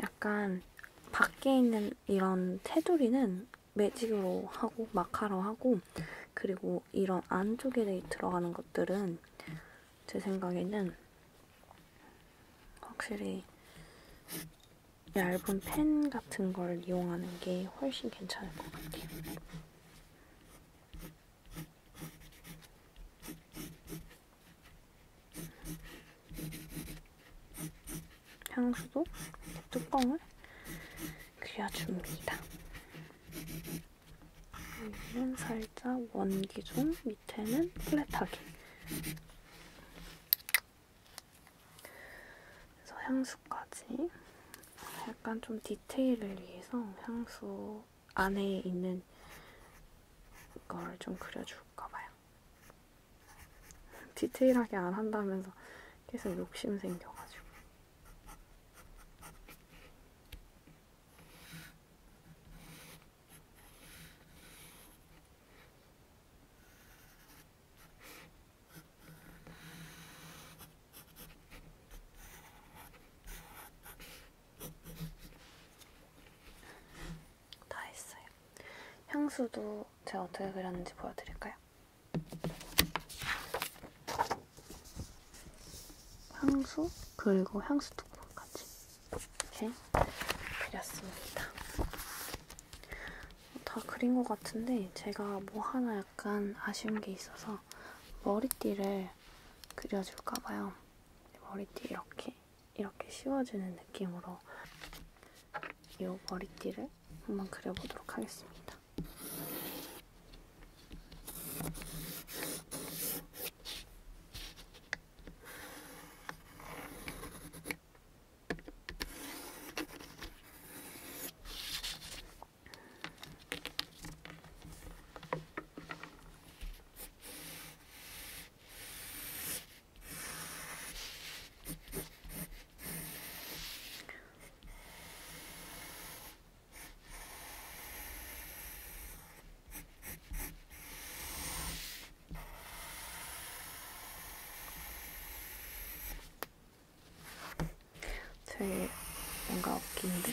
약간 밖에 있는 이런 테두리는 매직으로 하고 마카로 하고 그리고 이런 안쪽에 들어가는 것들은 제 생각에는 확실히 얇은 펜 같은 걸 이용하는 게 훨씬 괜찮을 것 같아요. 향수도 뚜껑을 그려줍니다. 여기는 살짝 원기종, 밑에는 플랫하게. 그래서 향수까지 약간 좀 디테일을 위해서 향수 안에 있는 걸 좀 그려줄까 봐요. *laughs* 디테일하게 안 한다면서 계속 욕심 생겨가지고. 다 했어요. 향수도 제가 어떻게 그렸는지 보여드릴까요? 향수 그리고 향수 뚜껑까지 이렇게 그렸습니다. 어, 다 그린 것 같은데 제가 뭐 하나 약간 아쉬운 게 있어서 머리띠를 그려줄까 봐요. 머리띠 이렇게 이렇게 씌워주는 느낌으로 이 머리띠를 한번 그려보도록 하겠습니다. 되게 뭔가 웃긴데?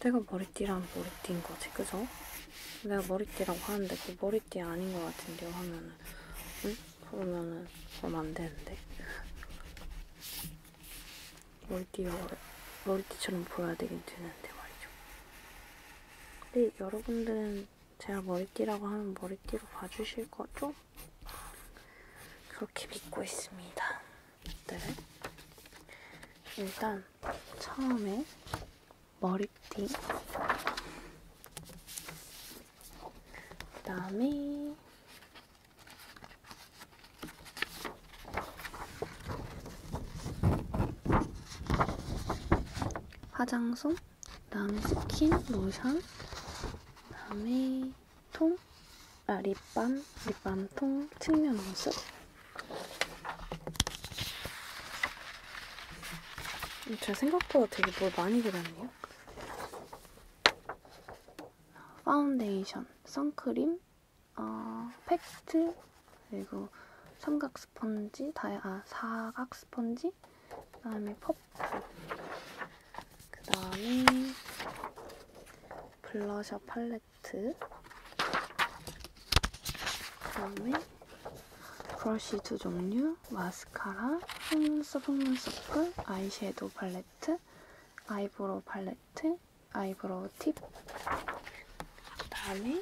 내가 머리띠랑 머리띠인 거지, 그죠? 내가 머리띠라고 하는데 그 머리띠 아닌 것 같은데요 하면은 응? 그러면은 그럼 안 되는데 머리띠 머리띠처럼 보여야 되긴 되는데 말이죠. 근데 여러분들은 제가 머리띠라고 하면 머리띠로 봐주실 거죠? 그렇게 믿고 있습니다. 네. 일단 처음에 머리띠 그 다음에 화장솜 그다음에 스킨, 로션, 그다음에 통, 아 립밤, 립밤 통, 측면 모습. 음, 제가 생각보다 되게 뭘 많이 그렸네요. 파운데이션, 선크림, 어, 팩트, 그리고 삼각 스펀지, 다이, 아, 사각 스펀지, 뭐지? 그 다음에 퍼프. 그 다음에 블러셔 팔레트. 그 다음에 브러쉬 두 종류, 마스카라, 속눈썹, 속눈썹, 아이섀도우 팔레트, 아이브로우 팔레트, 아이브로우 팁, 그 다음에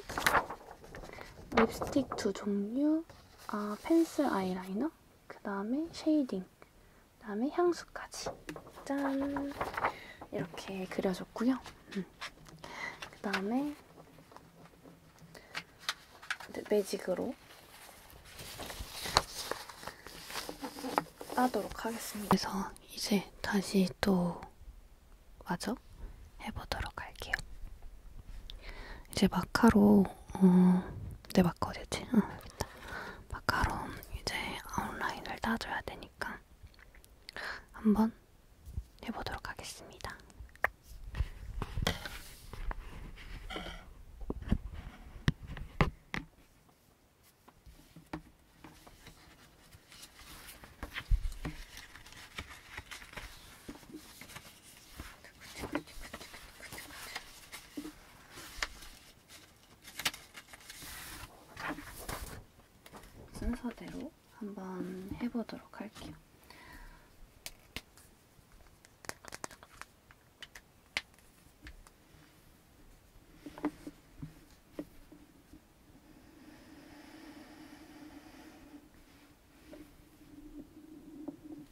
립스틱 두 종류, 아, 펜슬 아이라이너, 그 다음에 쉐이딩, 그 다음에 향수까지 짠! 이렇게 그려줬고요. 음. 그 다음에 매직으로 따도록 하겠습니다. 그래서 이제 다시 또 마저 해보도록 할게요. 이제 마카로 어, 네 마커지지? 어, 여기다. 마카롱 이제 아웃라인을 따줘야 되니까 한번 해보도록 하겠습니다. 순서대로 한번 해보도록 할게요.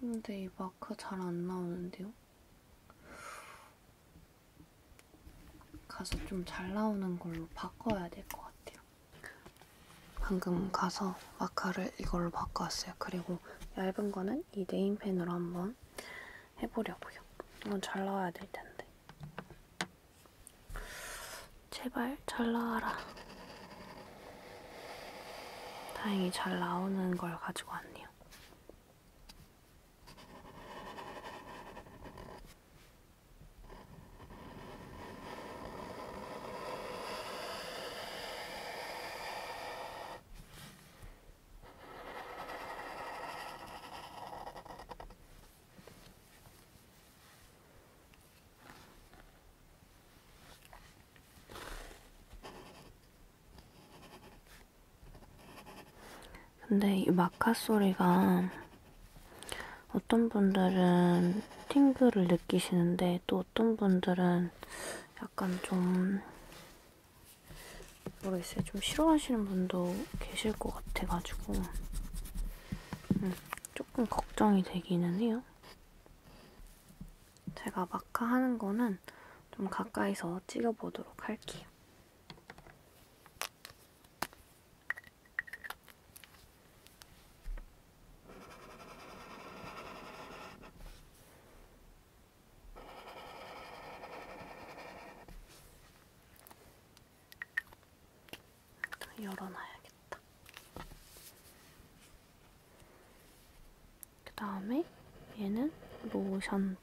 근데 이 마크 잘안 나오는데요? 가서 좀 잘 나오는 걸로 바꿔야 될 것 같아요. 방금 가서 마카를 이걸로 바꿔왔어요. 그리고 얇은 거는 이 네임펜으로 한번 해보려고요. 이건 잘 나와야 될 텐데. 제발 잘 나와라. 다행히 잘 나오는 걸 가지고 왔네요. 근데 이 마카 소리가 어떤 분들은 팅글을 느끼시는데 또 어떤 분들은 약간 좀 글쎄 좀 싫어하시는 분도 계실 것 같아가지고 음, 조금 걱정이 되기는 해요. 제가 마카 하는 거는 좀 가까이서 찍어보도록 할게요. 열어놔야겠다. 그 다음에 얘는 로션통.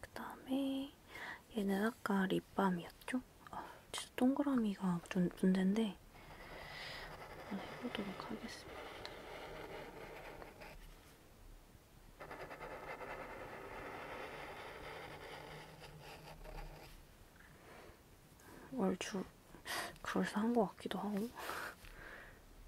그 다음에 얘는 아까 립밤이었죠? 아, 진짜 동그라미가 좀 문제인데 한번 해보도록 하겠습니다. 얼추 그럴싸한 것 같기도 하고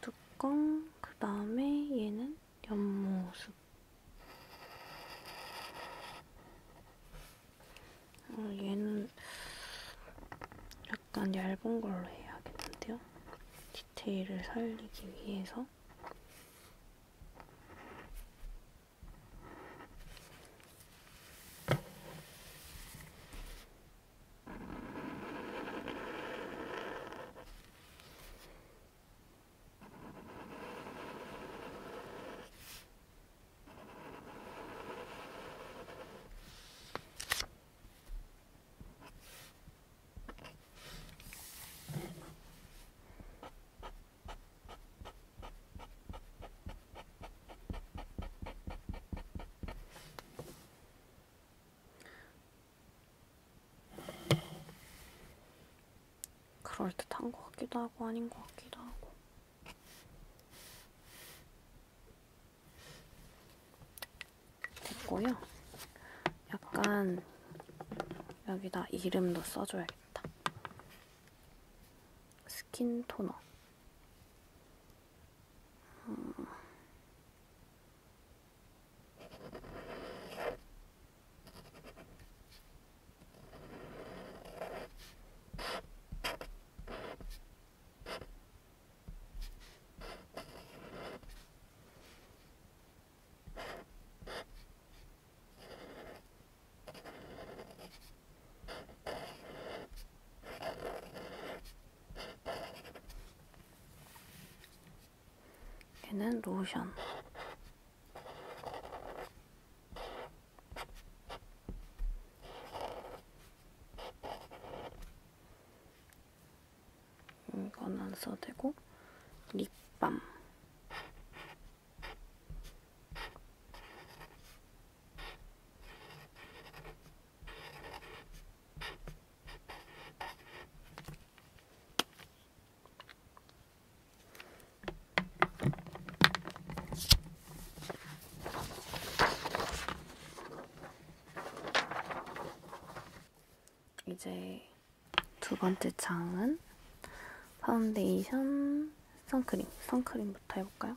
뚜껑, 그 다음에 얘는 옆모습. 어, 얘는 약간 얇은 걸로 해야겠는데요. 디테일을 살리기 위해서 그럴듯한 것 같기도 하고 아닌 것 같기도 하고 됐고요. 약간 여기다 이름도 써줘야겠다. 스킨 토너. 음. 얘는 로션 이건 안 써도 되고 립밤 이제 두 번째 장은 파운데이션, 선크림. 선크림부터 해볼까요?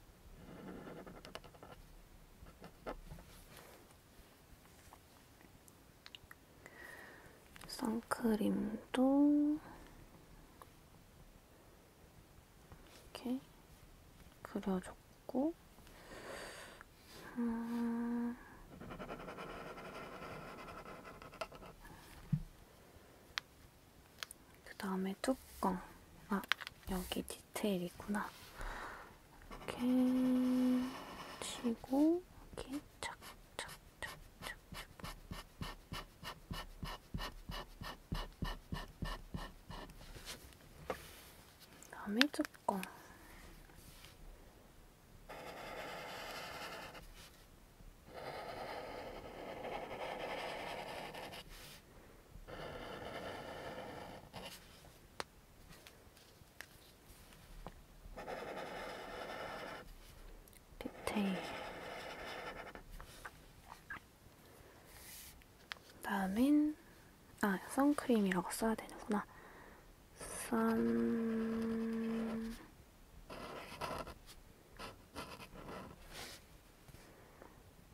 선크림도 이렇게 그려줬고 음그 다음에 뚜껑 아 여기 디테일이 있구나. 이렇게 치고 이렇게 착착착착착 다음에 뚜껑 디테일 다음엔 아 선크림이라고 써야 되는구나 선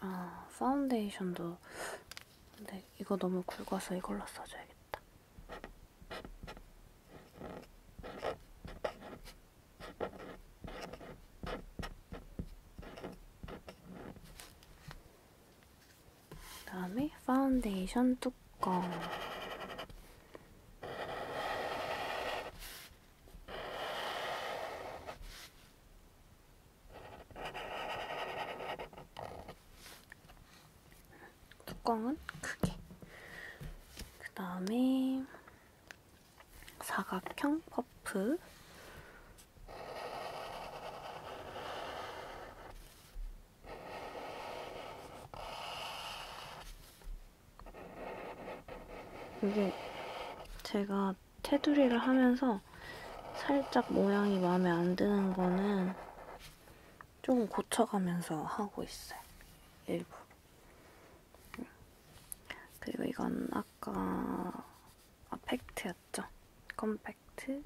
아, 파운데이션도 근데 이거 너무 굵어서 이걸로 써줘야겠다. 그다음에 파운데이션 뚜껑. 뚜껑은 크게. 그 다음에 사각형 퍼프. 이게 제가 테두리를 하면서 살짝 모양이 마음에 안 드는 거는 좀 고쳐가면서 하고 있어요. 일부 그리고 이건 아까 아, 팩트였죠. 컴팩트.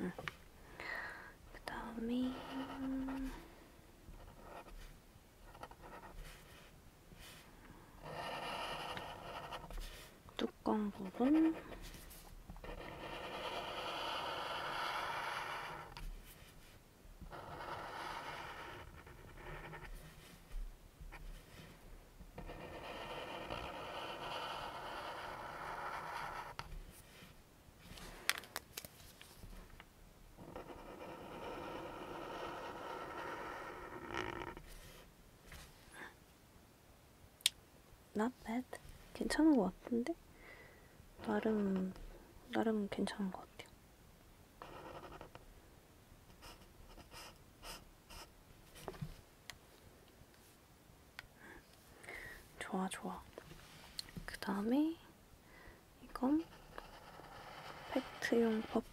응. 그 다음에 뚜껑 부분 Not bad. 괜찮은 것 같은데? 나름, 나름 괜찮은 것 같아요. 좋아 좋아 그 다음에 이건 팩트용 퍼프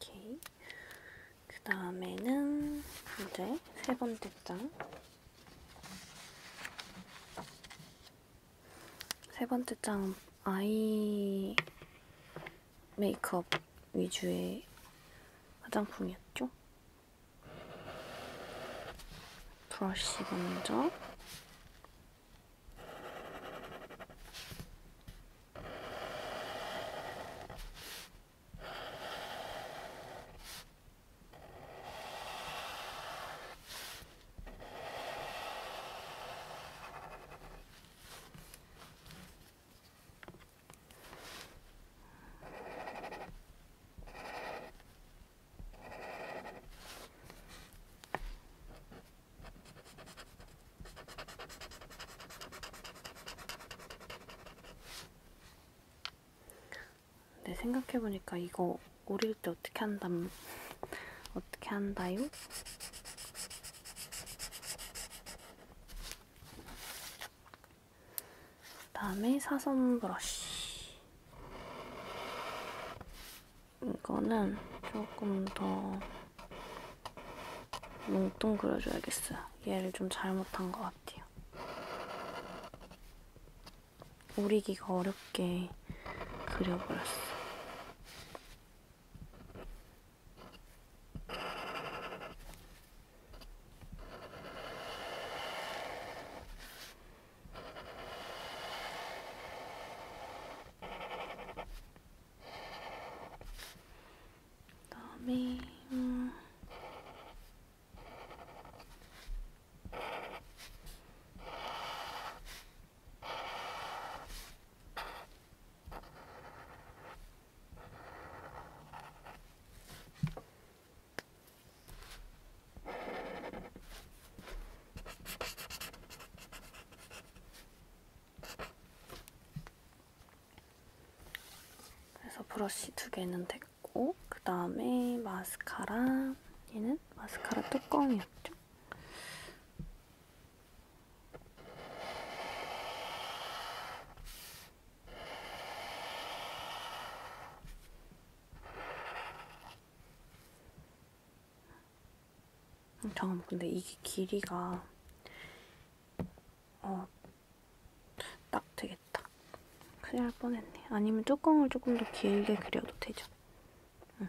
오케이. 그 다음에는 이제 세 번째 장. 세 번째 장 아이 메이크업 위주의 화장품이었죠? 브러쉬 먼저 근데 생각해보니까 이거 오릴 때 어떻게 한담 어떻게 한다요? 다음에 사선 브러쉬. 이거는 조금 더 뭉뚱그려줘야겠어요. 얘를 좀 잘못한 것 같아요. 오리기가 어렵게 그려버렸어. 그다음에 음, 그래서 브러쉬 두 개는 됐고 그 다음에 마스카라 얘는 마스카라 뚜껑이었죠? 잠깐만 근데 이게 길이가 어, 딱 되겠다 큰일 날 뻔했네 아니면 뚜껑을 조금 더 길게 그려도 되죠 응.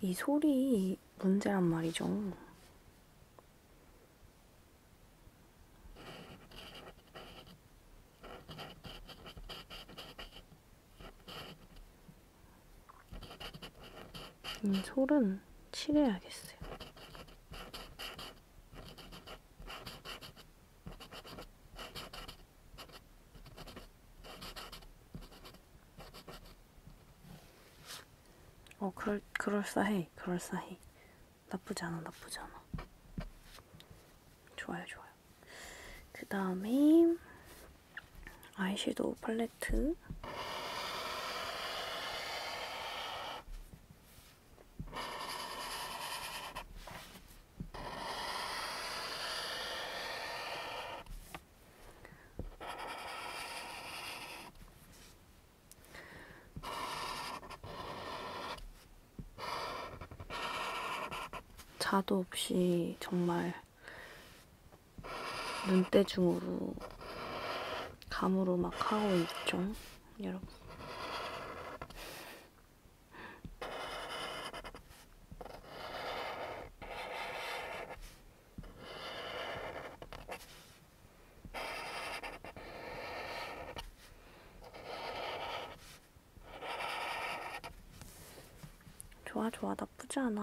이 소리 문제란 말이죠. 이 솔은 칠해야겠어요. 어, 그럴, 그럴싸해. 그럴싸해. 나쁘지 않아, 나쁘지 않아. 좋아요, 좋아요. 그 다음에 아이섀도우 팔레트. 자도 없이 정말 눈대중으로 감으로 막 하고 있죠. 여러분. 좋아 좋아 나쁘지 않아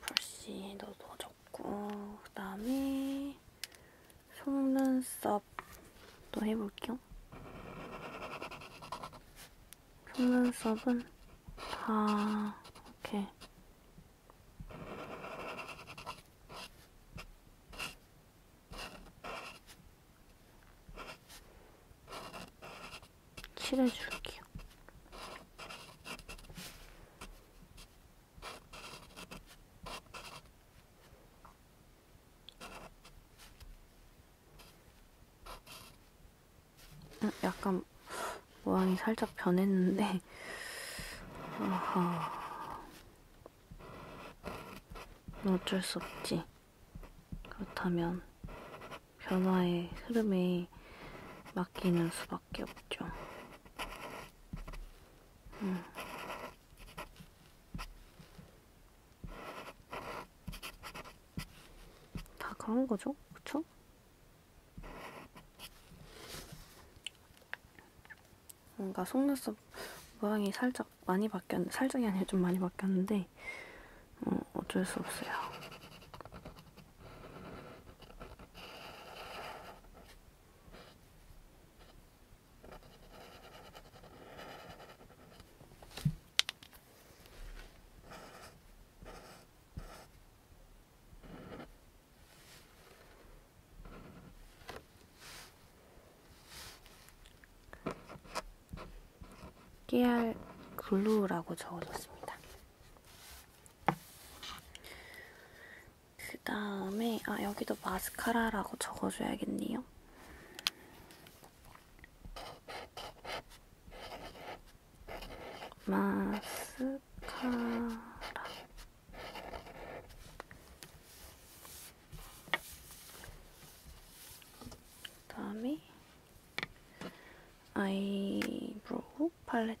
브러쉬 넣어줬고 그 다음에 속눈썹도 해볼게요. 속눈썹은 다 이렇게 칠해줄게요. 어, 약간 모양이 살짝 변했는데 *laughs* 어허 어쩔 수 없지 그렇다면 변화의 흐름에 맡기는 수밖에 없죠. 음. 다 그런 거죠? 그쵸? 뭔가 속눈썹 모양이 살짝 많이 바뀌었는데 살짝이 아니라 좀 많이 바뀌었는데 어, 어쩔 수 없어요. 깨알 글루라고 적어줬습니다. 그 다음에 아 여기도 마스카라라고 적어줘야겠네요. 마스카라 그 다음에 아이브로우 팔레트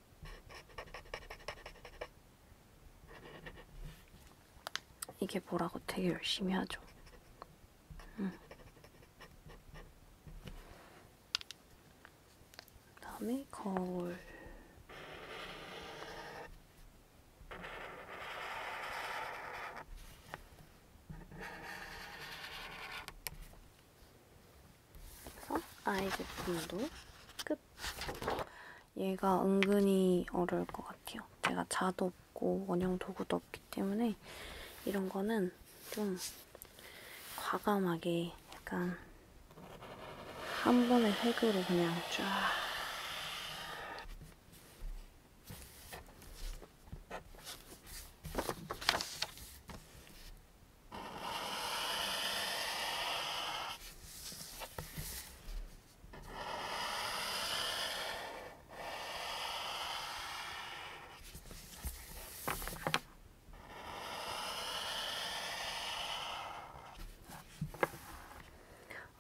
이게 뭐라고 되게 열심히 하죠. 음. 그다음에 거울. 그래서 아이 제품도 끝! 얘가 은근히 어려울 것 같아요. 제가 자도 없고 원형 도구도 없기 때문에 이런 거는 좀 과감하게 약간 한 번에 획으로 그냥 쫙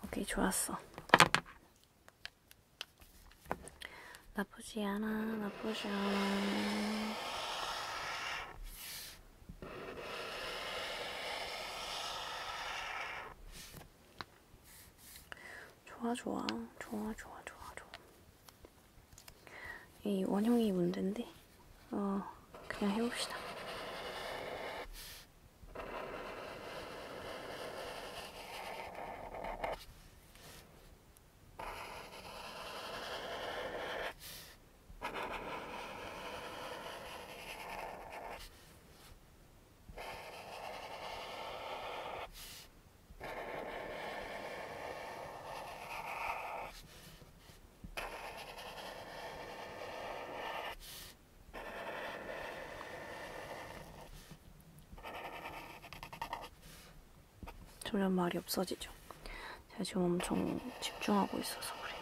오케이 좋았어 나쁘지 않아 나쁘지 않아 좋아 좋아 좋아 좋아 좋아 좋아 이 원형이 문제인데 어 그냥 해봅시다 점점 말이 없어지죠. 제가 지금 엄청 집중하고 있어서 그래요.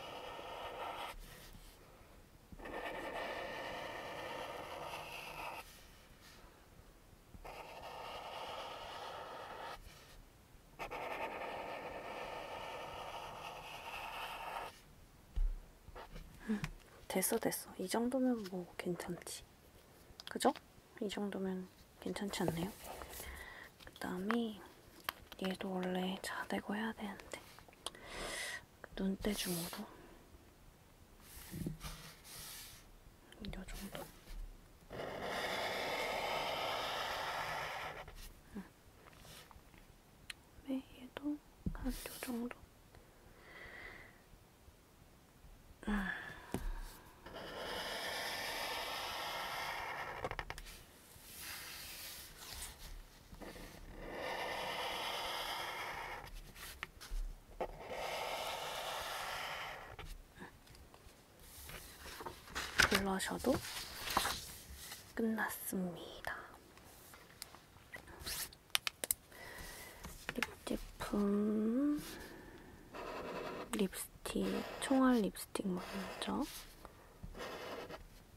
음, 됐어 됐어 이 정도면 뭐 괜찮지 그죠? 이 정도면 괜찮지 않나요? 그 다음에 얘도 원래 자대고 해야 되는데 눈대중으로 음, 요정도 응. 음. 네, 얘도 한 요정도 음. 블러셔도 끝났습니다. 립 제품 립스틱, 총알 립스틱 먼저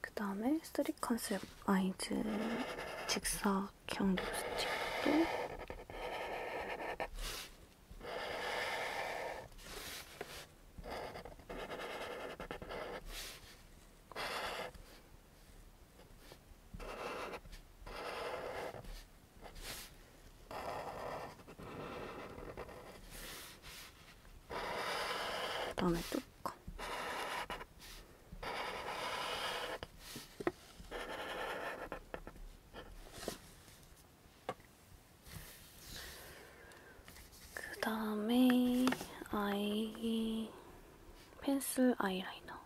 그 다음에 쓰리 컨셉 아이즈 직사각형 립스틱도 그다음에 뚜껑. 그 다음에 아이 펜슬 아이라이너.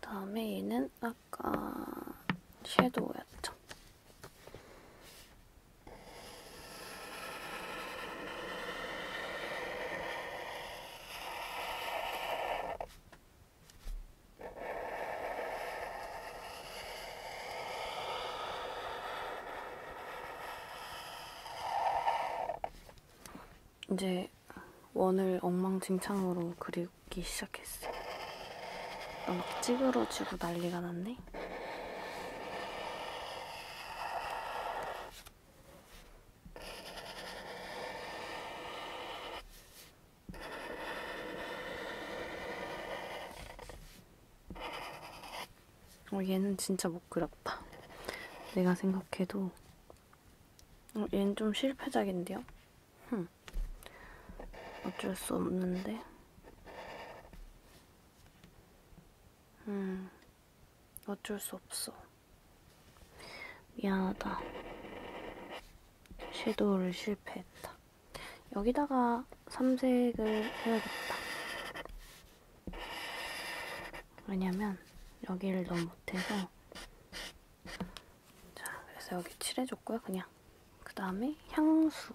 다음에 얘는 아까 섀도우였죠. 이제 원을 엉망진창으로 그리기 시작했어. 막 어, 찌그러지고 난리가 났네. 어, 얘는 진짜 못 그렸다. 내가 생각해도 어, 얘는 좀 실패작인데요? 흠. 어쩔 수 없는데. 음, 어쩔 수 없어. 미안하다. 섀도우를 실패했다. 여기다가 삼색을 해야겠다. 왜냐면 여기를 너무 못해서 자 그래서 여기 칠해줬고요 그냥 그 다음에 향수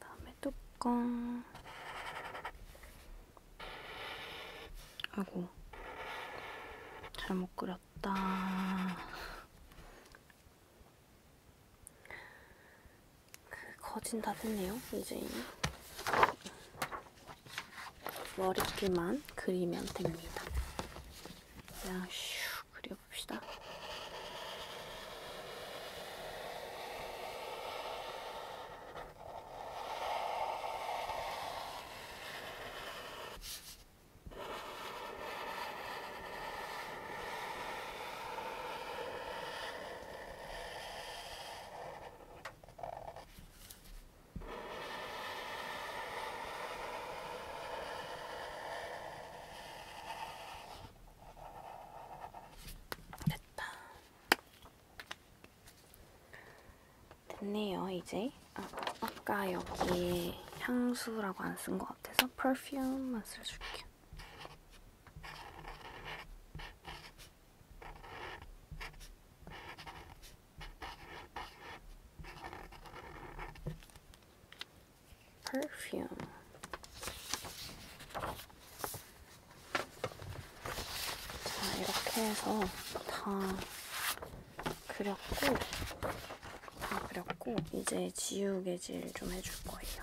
다음에 뚜껑 아고 잘못 그렸다 그 거진 다 됐네요 이제 머리끼만 그리면 됩니다. 그냥 슉 그려봅시다. 됐다. 됐네요, 이제. 아, 아까 여기에 향수라고 안 쓴 것 같아서 perfume만 써줄게요. perfume. 자, 이렇게 해서 다 그렸고, 다 그렸고, 이제 지우개질 좀 해줄 거예요.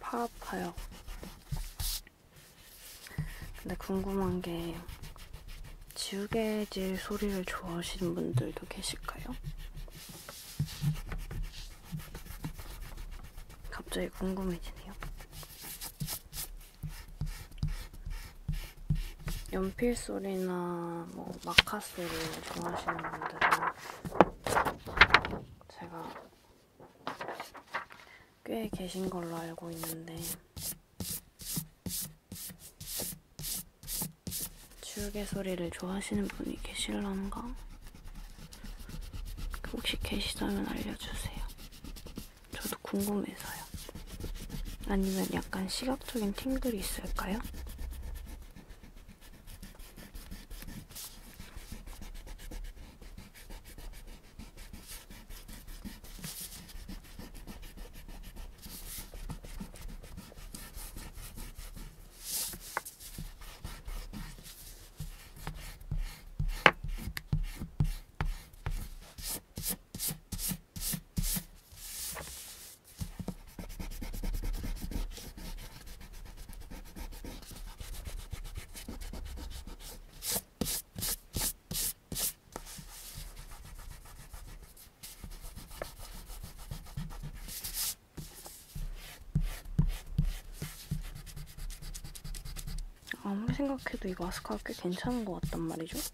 팔 아파요. 근데 궁금한 게 지우개질 소리를 좋아하시는 분들도 계실까요? 갑자기 궁금해지네요. 연필 소리나 뭐 마카 소리 좋아하시는 분들은 제가 꽤 계신 걸로 알고 있는데 지우개 소리를 좋아하시는 분이 계실런가? 혹시 계시다면 알려주세요. 저도 궁금해서요. 아니면 약간 시각적인 팅들이 있을까요? 아무리 생각해도 이 마스카가 꽤 괜찮은 것 같단 말이죠.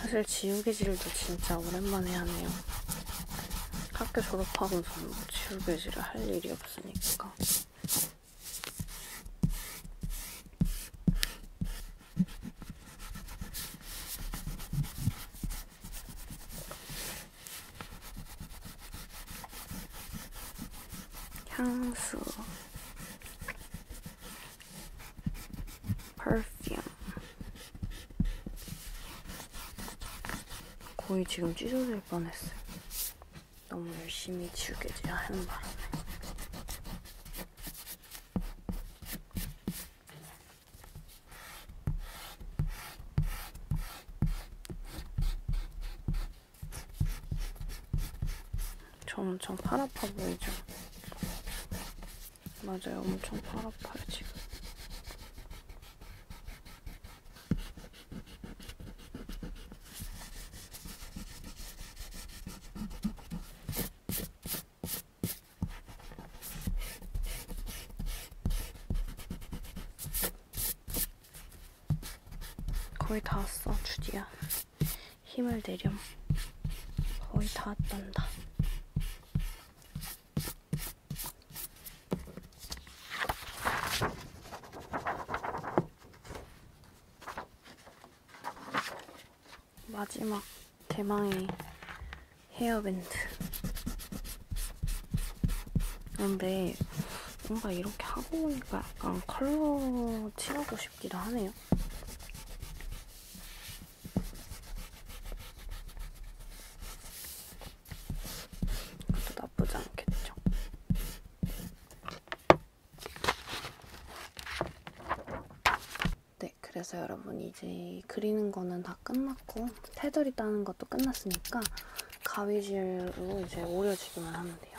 사실 지우개질도 진짜 오랜만에 하네요. 학교 졸업하고선 지우개질을 할 일이 없으니까. 향수 perfume. 거의 지금 찢어질 뻔했어요. 너무 열심히 지우개 하는 바람에. 저 엄청 팔 아파 보이죠? 맞아요. 엄청 팔 아파요, 지금. 거의 다 왔어, 주디야. 힘을 내렴. 거의 다 왔단다. 마지막 대망의 헤어밴드 근데 뭔가 이렇게 하고 보니까 약간 컬러 칠하고 싶기도 하네요 그것도 나쁘지 않겠죠. 네, 그래서 여러분 이제 그리는 거는 다 끝났고 테두리 따는 것도 끝났으니까 가위질로 이제 오려주기만 하면 돼요.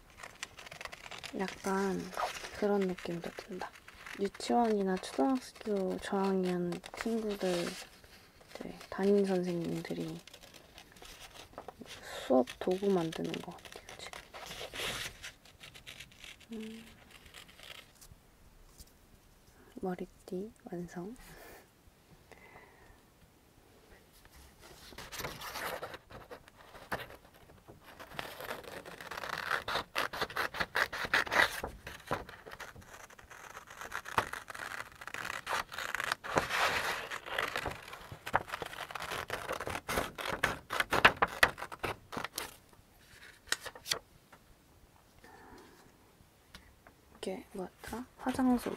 약간 그런 느낌도 든다. 유치원이나 초등학교 저학년 친구들 담임 선생님들이 수업 도구 만드는 것 같아요 지금. 음. 머리띠 완성. 이게 뭐였더라? 화장솜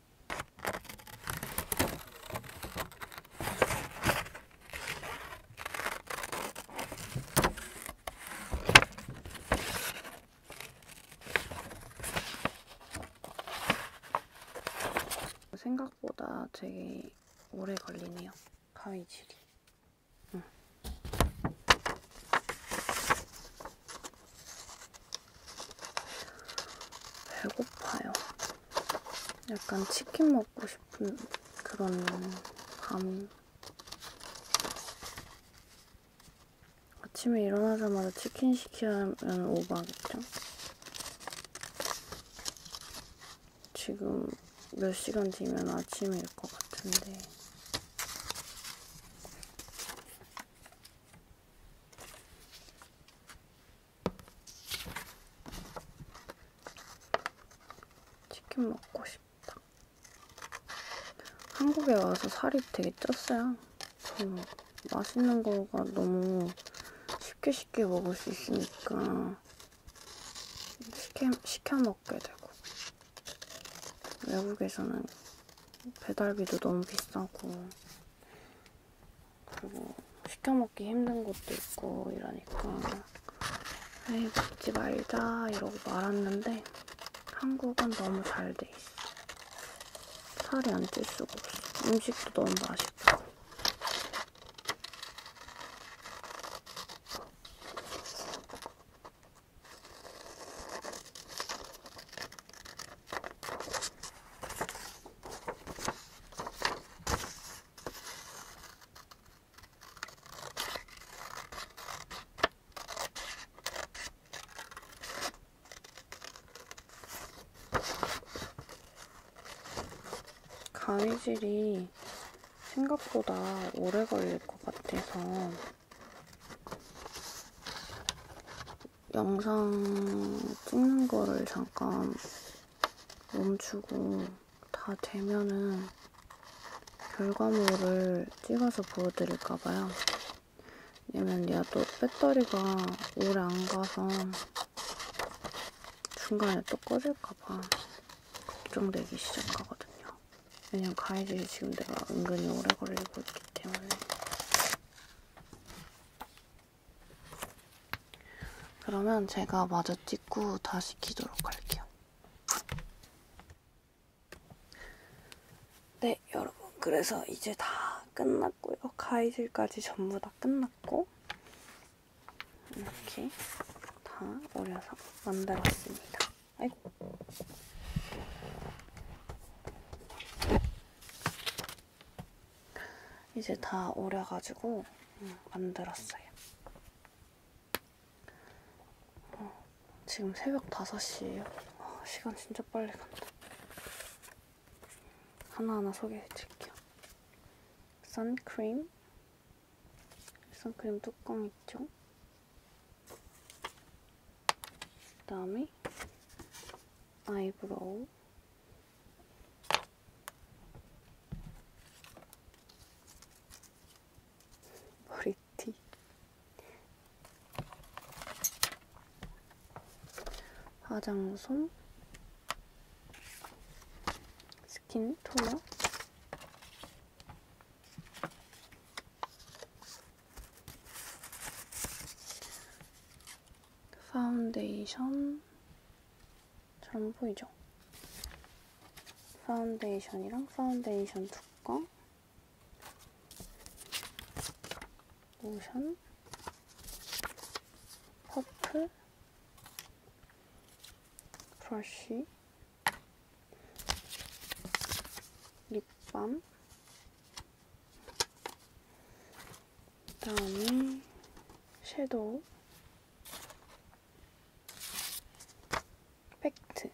생각보다 되게 오래 걸리네요. 가위질이. 응. 배고파요. 약간 치킨 먹고 싶은 그런 밤. 아침에 일어나자마자 치킨 시키면 오버하겠죠? 지금 몇 시간 뒤면 아침일 것 같은데. 치킨 먹고 싶다. 한국에 와서 살이 되게 쪘어요. 그 맛있는 거가 너무 쉽게 쉽게 먹을 수 있으니까 시켜, 시켜 먹게 되고 외국에서는 배달비도 너무 비싸고 그리고 시켜 먹기 힘든 것도 있고 이러니까 에이 먹지 말자 이러고 말았는데 한국은 너무 잘 돼 있어. 살이 안 찔 수가 없어. 음식도 너무 맛있고. 가위질이 생각보다 오래 걸릴 것 같아서 영상 찍는 거를 잠깐 멈추고 다 되면은 결과물을 찍어서 보여드릴까봐요. 왜냐면 얘가 또 배터리가 오래 안 가서 중간에 또 꺼질까봐 걱정되기 시작하거든요. 왜냐면 가해질이 지금 내가 은근히 오래 걸리고 있기 때문에. 그러면 제가 마저 찍고 다시 키도록 할게요. 네, 여러분. 그래서 이제 다 끝났고요. 가이질까지 전부 다 끝났고 이렇게 다 올려서 만들었습니다. 아이고. 이제 다 오려가지고 음, 만들었어요. 어, 지금 새벽 5시에요. 어, 시간 진짜 빨리 간다. 하나하나 소개해드릴게요. 선크림. 선크림 뚜껑 있죠? 그 다음에 아이브로우. 머리띠 화장솜 스킨 토너 파운데이션 잘 보이죠? 파운데이션이랑 파운데이션 두꺼 로션 퍼플 브러쉬 립밤 다음 섀도우 팩트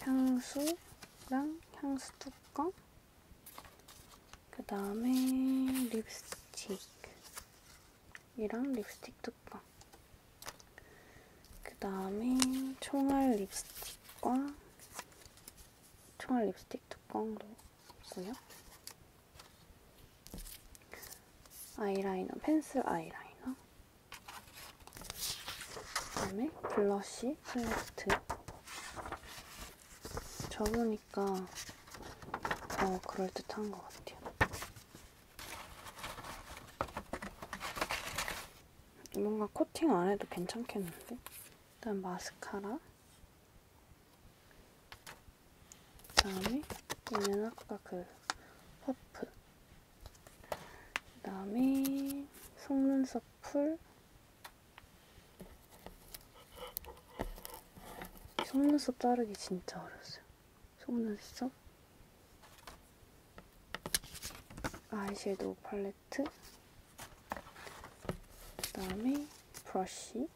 향수랑 향수 뚜껑 그 다음에 립스틱이랑 립스틱 뚜껑 그 다음에 총알 립스틱과 총알 립스틱 뚜껑도 있고요. 아이라이너, 펜슬 아이라이너. 그다음에 블러쉬, 팔레트. 접으니까 더 그럴듯한 것 같아요. 뭔가 코팅 안 해도 괜찮겠는데? 일단 마스카라 그 다음에 얘는 아까 그 퍼프 그 다음에 속눈썹 풀 속눈썹 자르기 진짜 어려웠어요 속눈썹 아이섀도우 팔레 팔레트 그 다음에 브러쉬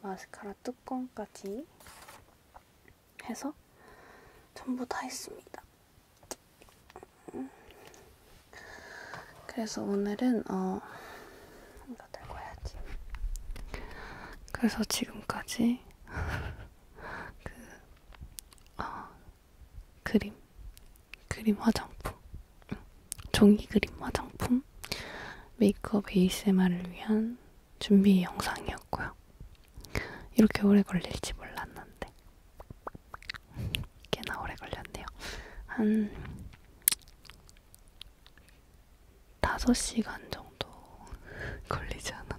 마스카라 뚜껑까지 해서 전부 다 했습니다. 그래서 오늘은 어 이거 들고 해야지. 그래서 지금까지 *laughs* 그 아, 그림, 그림 화장품, 응. 종이 그림 화장품, 메이크업 ASMR을 위한 준비 영상이었고요. 이렇게 오래 걸릴지 몰랐는데 꽤나 오래 걸렸네요. 한 5시간 정도 걸리지 않았나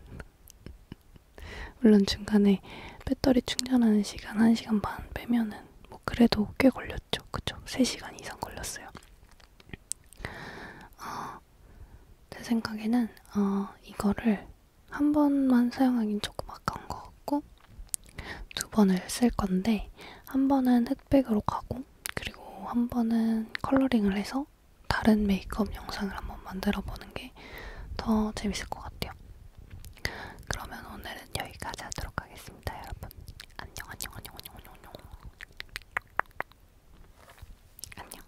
물론 중간에 배터리 충전하는 시간 1시간 반 빼면은 뭐 그래도 꽤 걸렸죠. 그쵸? 3시간 이상 걸렸어요. 어, 제 생각에는 어, 이거를 한 번만 사용하긴 조금 아까운 것 같고 두 번을 쓸 건데 한 번은 흑백으로 가고 그리고 한 번은 컬러링을 해서 해서 다른 메이크업 영상을 한번 만들어 보는 게 더 재밌을 것 같아요. 그러면 오늘은 여기까지 하도록 하겠습니다, 여러분. 안녕, 안녕, 안녕, 안녕, 안녕, 안녕. 안녕.